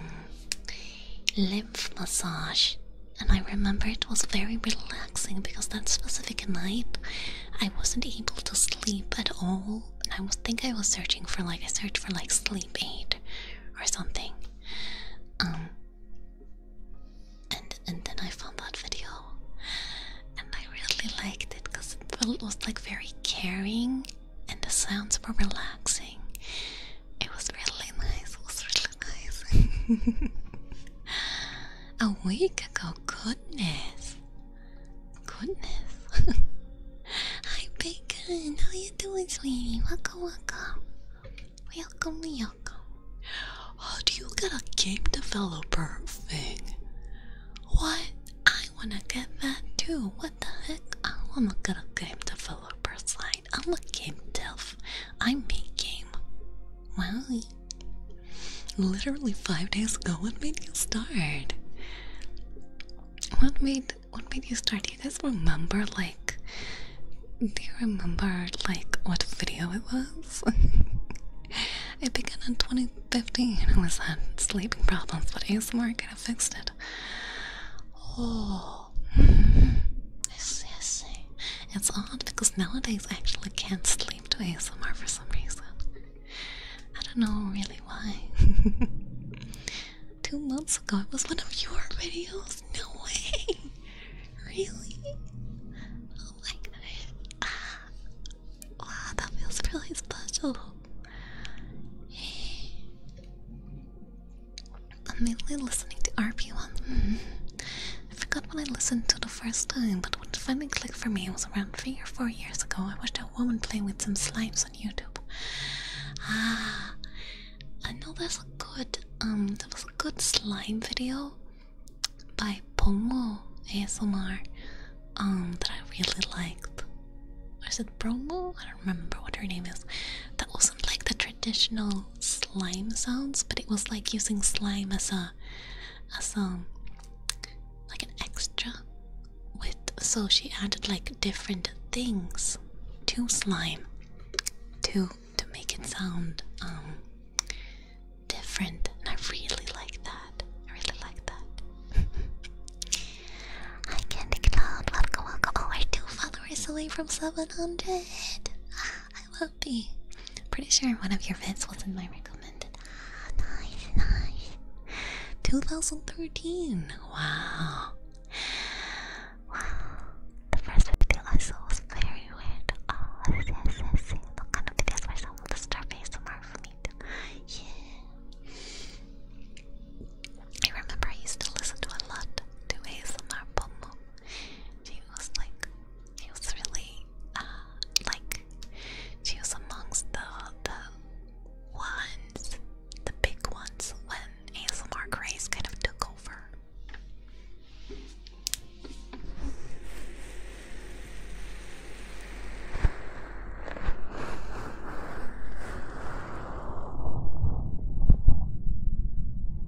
lymph massage and I remember it was very relaxing because that specific night I wasn't able to sleep at all. and I think I was searching for like a search for like sleep aid or something. Um and and then I found that video and I really liked it because it was like very caring and the sounds were relaxing it was really nice, was really nice. (laughs) A week ago, goodness. Goodness. (laughs) Hi Bacon, how you doing sweetie? Welcome, welcome. Welcome, welcome. How do you get a game developer thing? What? I wanna get that too. What the heck? I wanna get a game developer thing. I'm a game dev. I make game. Wow. Literally five days ago. I made you start? What made what made you start? Do you remember like do you remember like what video it was? (laughs) it began in 2015. I was had sleeping problems, but ASMR kind of fixed it. Oh people. It's odd because nowadays I actually can't sleep to ASMR for some reason. I don't know really why. (laughs) Two months ago, it was one of your videos. No way. Really? Oh my gosh. Ah. Wow, that feels really special. I'm mainly listening to RP1. Mm -hmm. I forgot when I listened to the first time, but what finally clicked for me was around 3 or 4 years ago. I watched a woman play with some slimes on YouTube. Ah, I know there's a good, um, there was a good slime video by Pongo ASMR um, that I really liked. Or is it Bromo? I don't remember what her name is. That wasn't like the traditional slime sounds, but it was like using slime as a as um like an extra with so she added like different things to slime to to make it sound um different and I really like that. I really like that. (laughs) Hi Candy Cloud, welcome welcome. Oh we're two followers away from seven hundred. Ah, I Pretty sure one of your vets was not my recommended. nice, nice. 2013. Wow. Wow. The first video I saw was very weird. Oh, yes, yes, yes. The kind of videos where someone will start face tomorrow Yeah. I remember I used to listen to a lot to ASMR Pomo. She was like she was really uh, like she was amongst the the ones, the big ones when ASMR Grace kind of took over.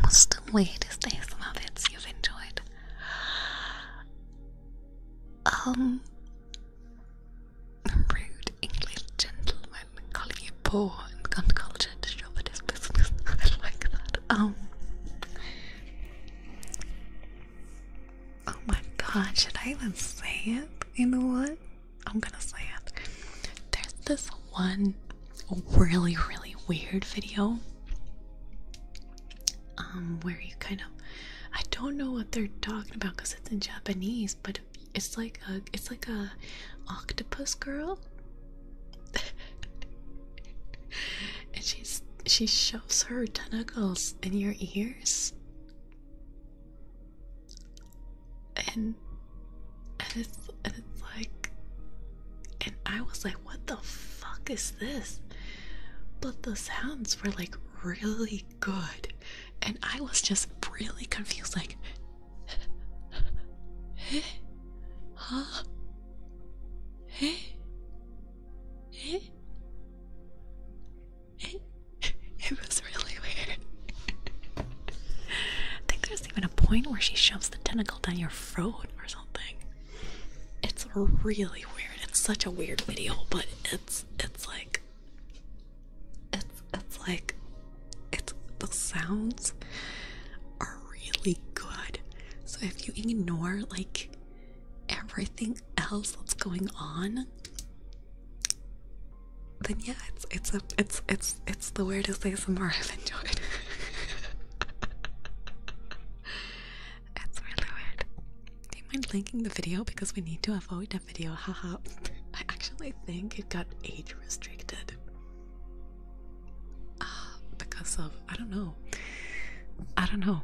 What's the weirdest ASMR you've enjoyed? Um, rude English gentleman calling you poor and uncultured to shop at his business. (laughs) I like that. Um, oh my god, should I even say it? You know what? I'm gonna say it. There's this one really, really weird video um, where you kind of I don't know what they're talking about because it's in Japanese, but it's like a it's like a octopus girl. (laughs) and she's she shows her tentacles in your ears and and it's and it's like and I was like, what the fuck is this? But the sounds were like really good, and I was just really confused, like, hey, huh, hey, hey, It was really weird. (laughs) I think there's there's even a point where she shoves the tentacle down your throat or something. It's really weird. It's such a weird video, but it's it's like it's it's like it's the sounds are really good. So if you ignore like everything else that's going on, then yeah, it's it's a it's it's it's the weirdest ASMR I've enjoyed. That's (laughs) really weird. Do you mind linking the video because we need to avoid a video? Haha. (laughs) I actually think it got age restricted. Uh, because of I don't know. I don't know.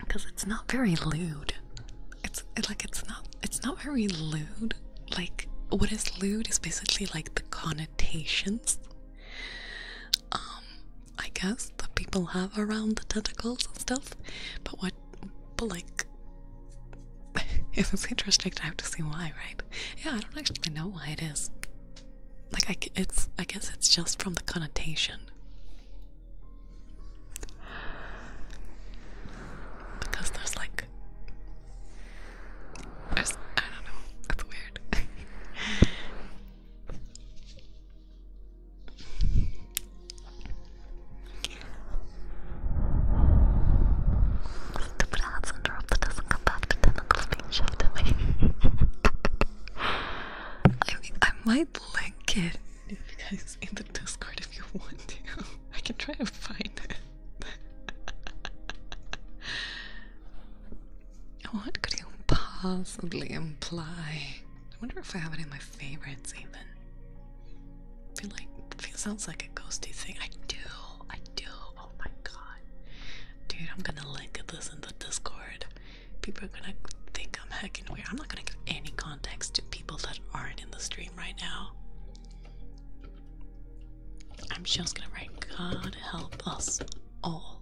Because (laughs) it's not very lewd. It's it, like it's not it's not very lewd. Like, what is lewd is basically like the connotations, um, I guess, that people have around the tentacles and stuff. But what, like, (laughs) if it's interesting I have to see why, right? Yeah, I don't actually know why it is. Like, I, it's, I guess it's just from the connotation. Because there's like I don't know. That's weird. Stupid ad syndrome that doesn't come back to tentacle being shoved at I I might link it if you guys in the Discord if you want to. (laughs) I can try to find it. (laughs) what could you possibly imply? I wonder if I have it in my favorites even. I feel like it sounds like a ghosty thing. I do, I do. Oh my god. Dude, I'm gonna link this in the Discord. People are gonna think I'm hecking weird. I'm not gonna give any context to people that aren't in the stream right now. I'm just gonna write God help us all.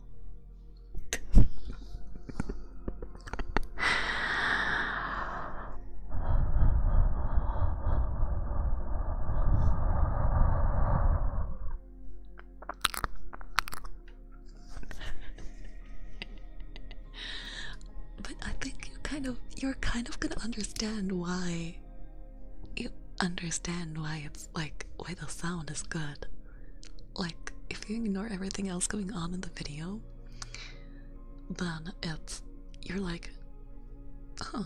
but I think you kind of you're kind of gonna understand why you understand why it's like why the sound is good. Like if you ignore everything else going on in the video, then it's you're like, huh,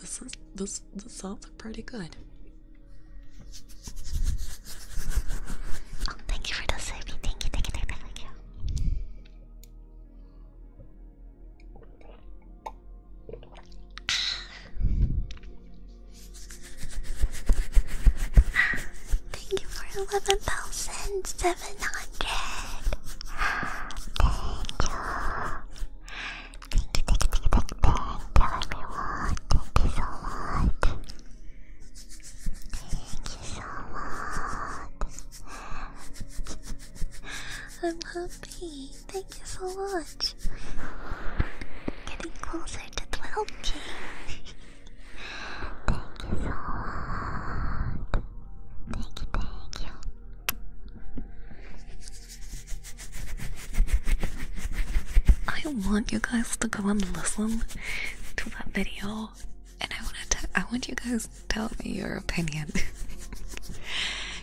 this is this this sounds pretty good. thank you for the saving. thank you, thank you, thank you. Thank you for eleven thousand seven hundred. Thank you. Thank you, thank you, thank you, thank you, thank you, everyone. Thank you so I'm happy. Thank you so much. Getting closer to 12k. thank you so much. Thank you, thank you. I want you guys to go and listen to that video, and I want to. I want you guys tell me your opinion.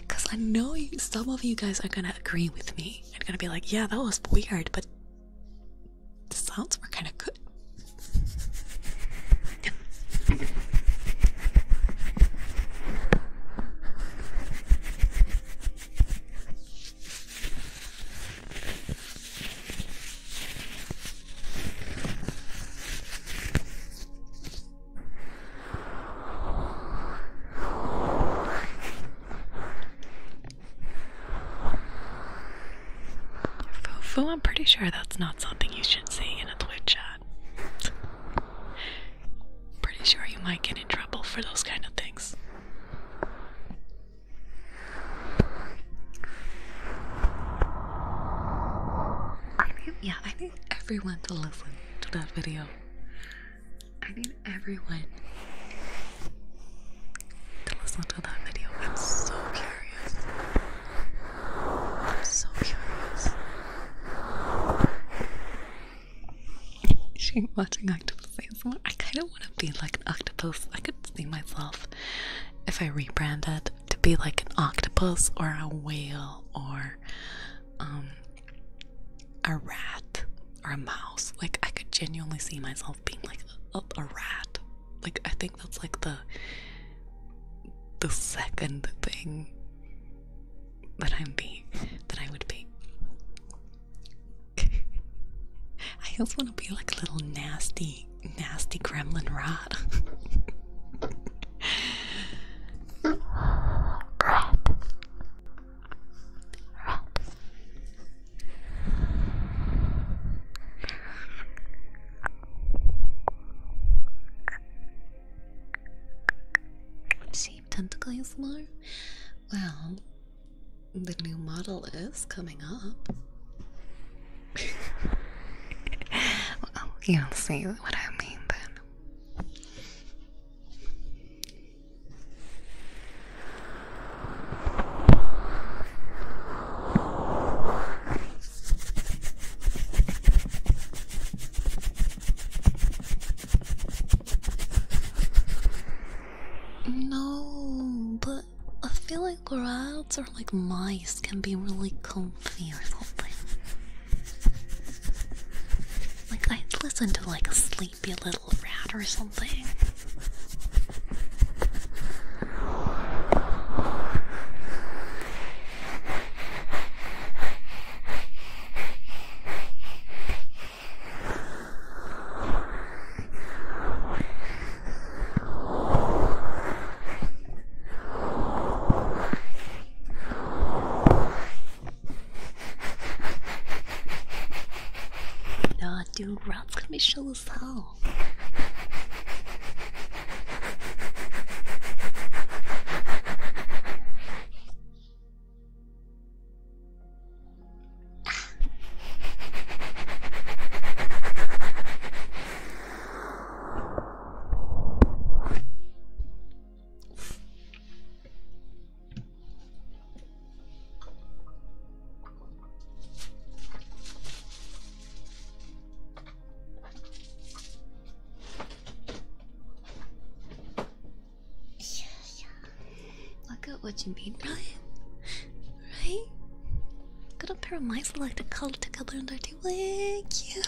Because (laughs) I know some of you guys are gonna agree with me and gonna be like, yeah, that was weird, but the sounds were kind of good. Foo, I'm pretty sure that's not something you should see in a Twitch chat. pretty sure you might get in trouble for those kind of things. Yeah, I knew need everyone to listen to that video. I need everyone to listen to that video. I'm so curious. I'm so curious. She watching octopus ASMR. I kind of want to be like an octopus. I could see myself if I rebranded to be like an octopus or a whale or um, a rat or a mouse. Like I could genuinely see myself being like a, rat. Like I think that's like the the second thing that I'm being that I would be. (laughs) I just want to be like a little nasty, nasty gremlin rat. (laughs) Red. Red. Shape tentacle more? Well, the new model is coming up. (laughs) well, you'll see what I mean then. No, but I feel like rats or like mice can be really comfy like i listen to like a sleepy little rat or something. 那就让他们受伤。yeah, yeah. Look at what you mean, Brian. Right? Got a pair of mice like to color together and dirty way. Cute.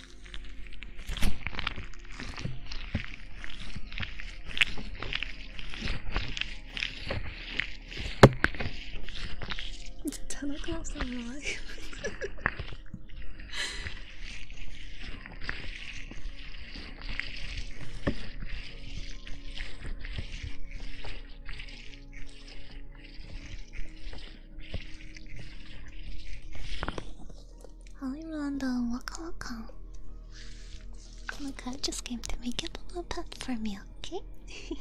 It's ten o'clock, so right. Hi Rhonda, uh, waka waka. Oh my god, I just came to make up a little pet for me, okay? (laughs)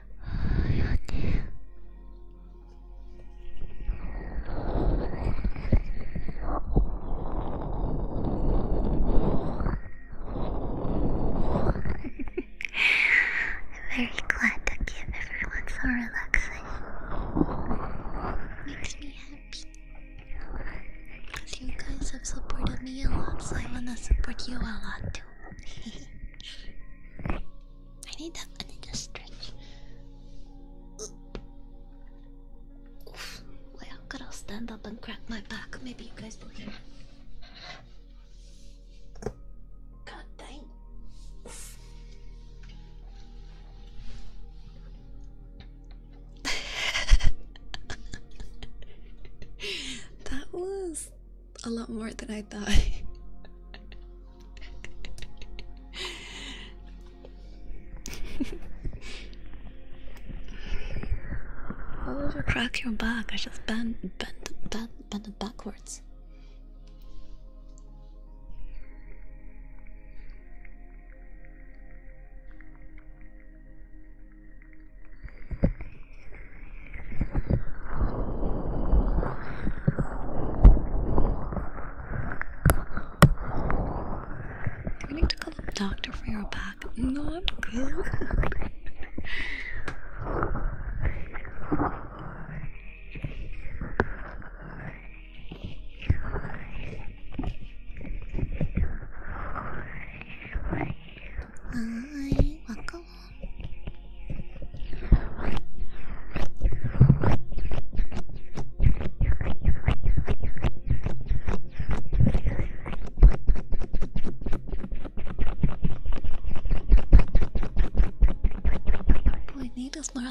I'm (laughs) Very glad to give everyone so relaxing. Makes me happy. Because you guys have supported me a lot, so I wanna support you a lot too. (laughs) I need that. I need to stretch. Oof. I've gotta stand up and crack my back. Maybe you guys will hear. God dang. (laughs) that was a lot more than I thought. Why would you crack your back? I just bent, bent, bent, bent backwards. I need to call the doctor for your back. Not good. Hi, welcome so need more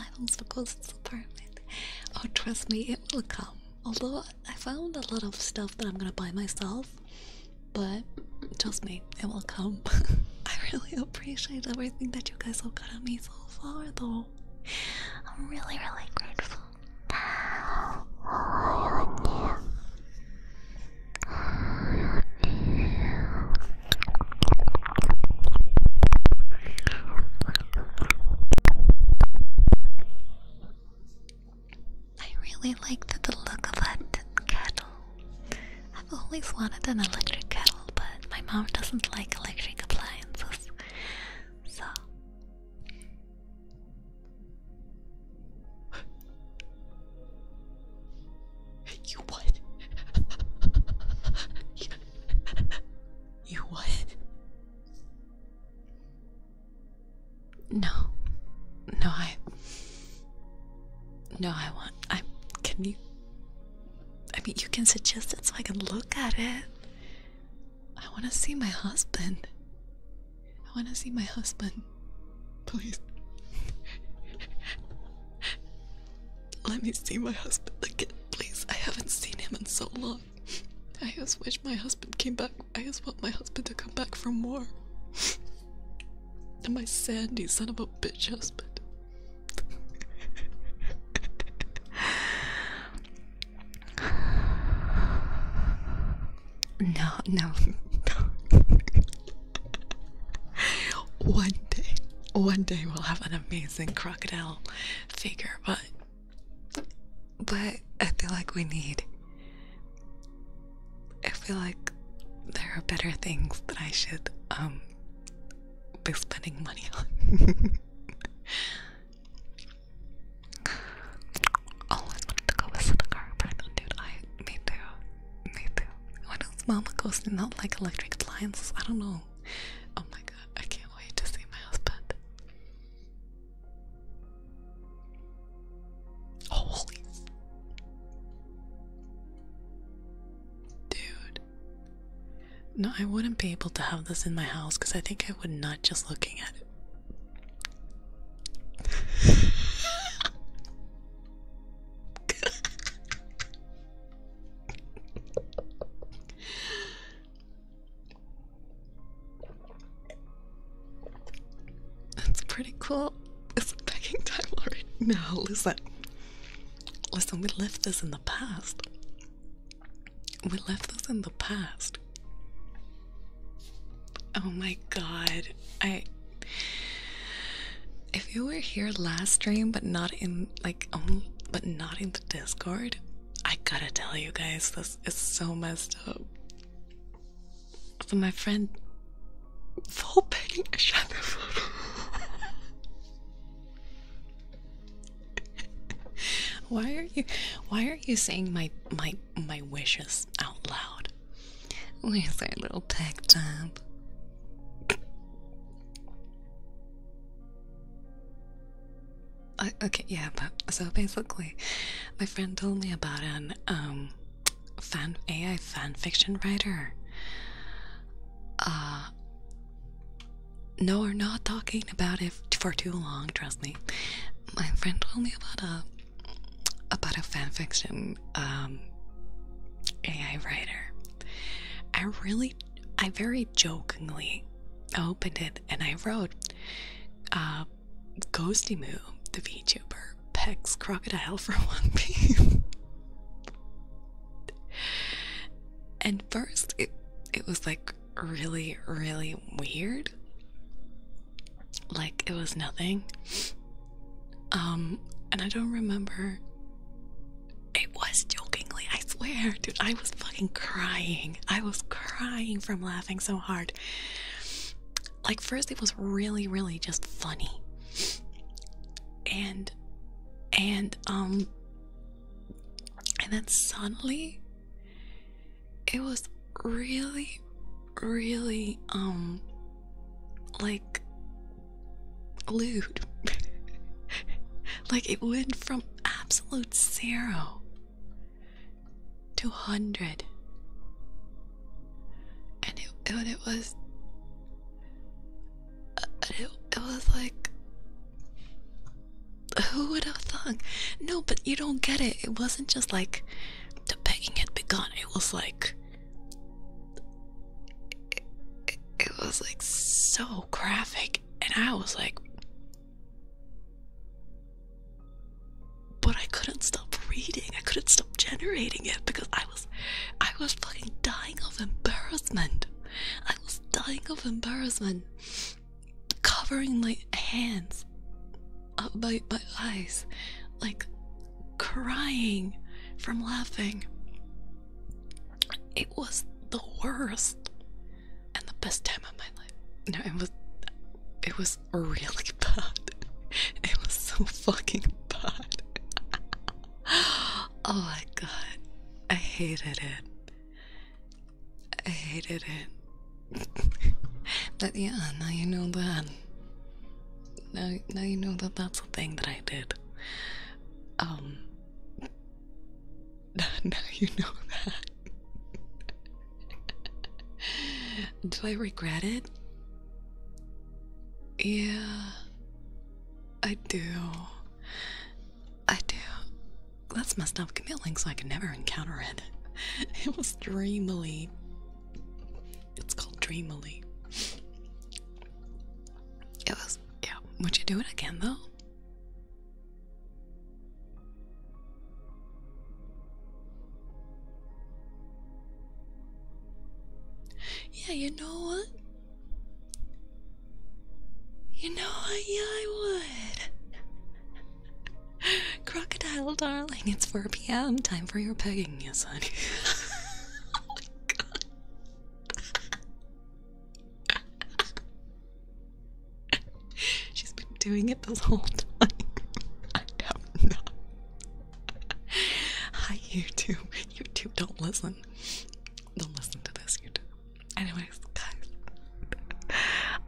items because it's apartment. Oh, trust me, it will come. Although I found a lot of stuff that I'm gonna buy myself, but trust me, it will come. (laughs) I really appreciate everything that you guys have gotten me so far, though. I'm really, really grateful. I really like the look of that kettle. I've always wanted an electric kettle, but my mom doesn't like electric appliances. So. You what? you, what? No. No, I. No, I want. I can you. I mean, you can suggest it so I can look at it. I want to see my husband. I want to see my husband. Please. (laughs) Let me see my husband again, please. I haven't seen him in so long. I just wish my husband came back. I just want my husband to come back for more. and (laughs) my sandy son of a bitch husband no, no, one day, one day we'll have an amazing crocodile figure, but but I feel like we need I feel like there are better things that I should um be spending money on. Always oh, wanted to go visit a chiropractor, dude. I me too, me too. Why does Mama goes not like electric appliances? I don't know. Oh my god, I can't wait to see my husband. Holy. Dude. No, I wouldn't be able to have this in my house because I think I would not just looking at it. (laughs) That's pretty cool. It's begging time already. No, listen. Listen, we left this in the past. We left this in the past. Oh my god. I if you were here last stream but not in like um but not in the Discord, I gotta tell you guys this is so messed up. So my friend Volpany a shadow. (laughs) why are you why are you saying my my my wishes out loud? Where's our little tech up. Uh, okay, yeah, but so basically, my friend told me about an um fan AI fan fiction writer. Uh, no, we're not talking about it for too long. Trust me. My friend told me about a about a fanfiction um, AI writer. I really, I very jokingly opened it and I wrote, uh, Ghostimu, the VTuber, pecks crocodile for (laughs) One Piece. And first, it it was like really, really weird. Like it was nothing. Um, and I don't remember. It was jokingly, I swear, dude. I was fucking crying. I was crying from laughing so hard. Like, first, it was really, really just funny and and um and then suddenly it was really really um like lewd (laughs) like it went from absolute zero to hundred and it, and it was it, was like, who would have thunk? No, but you don't get it. It wasn't just like the begging had begun. It was like, it was like so graphic, and I was like, but I couldn't stop reading. I couldn't stop generating it because I was I was fucking dying of embarrassment. I was dying of embarrassment. Covering my hands, uh, my, my eyes, like crying from laughing. It was the worst and the best time of my life. No, it was. It was really (laughs) bad. It was so fucking bad. (laughs) Oh my god. I hated it. I hated it. (laughs) but yeah, now you know that. Now, now you know that that's a thing that I did. Um. (laughs) Now you know that. (laughs) Do I regret it? Yeah, I do. I do. That's my stuff, Commit links so I could never encounter it. (laughs) It was dreamily. It's called dreamily. It was, yeah. Would you do it again though? Yeah, you know what? You know what? Yeah, I would. (laughs) Crocodile, darling, it's 4 p.m. Time for your pegging, yes, (laughs) honey. She's been doing it this whole time. (laughs) I don't Hi, YouTube. YouTube, don't listen. Don't listen to this, YouTube. Anyways, guys,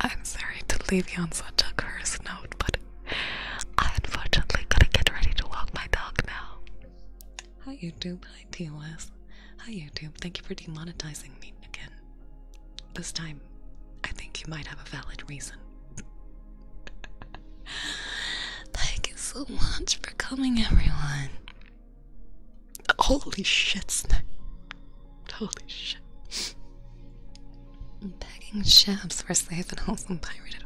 I'm sorry to leave you on such a cursed note, but I unfortunately gotta get ready to walk my dog now. Hi, YouTube. Hi, TOS. Hi, YouTube. Thank you for demonetizing me again. This time, I think you might have a valid reason. (laughs) Thank you so much for coming, everyone. Holy shit, Snack. Holy shit. Begging chefs for safe and wholesome pirated.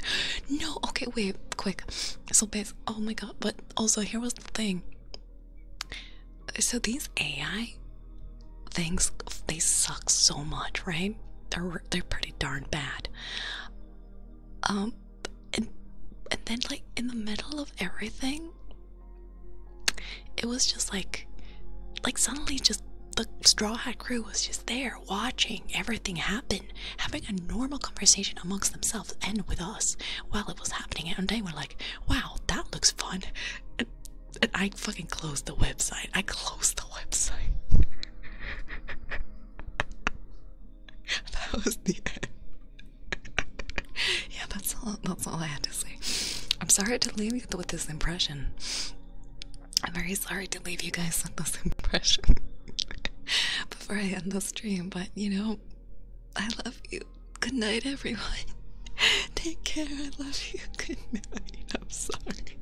No, okay, wait, quick. So, basically, Oh my god, but also, here was the thing. So, these AI things, they suck so much, right? They're, they're pretty darn bad. Um, and, and then like in the middle of everything it was just like like suddenly just the straw hat crew was just there watching everything happen having a normal conversation amongst themselves and with us while it was happening and they were like wow that looks fun and i fucking closed the website i closed the website (laughs) (laughs) that was the end. (laughs) yeah, that's all. That's all I had to say. I'm sorry to leave you with this impression. I'm very sorry to leave you guys with this (laughs) impression before I end the stream. But you know, I love you. Good night, everyone. Take care. I love you. Good night. I'm sorry.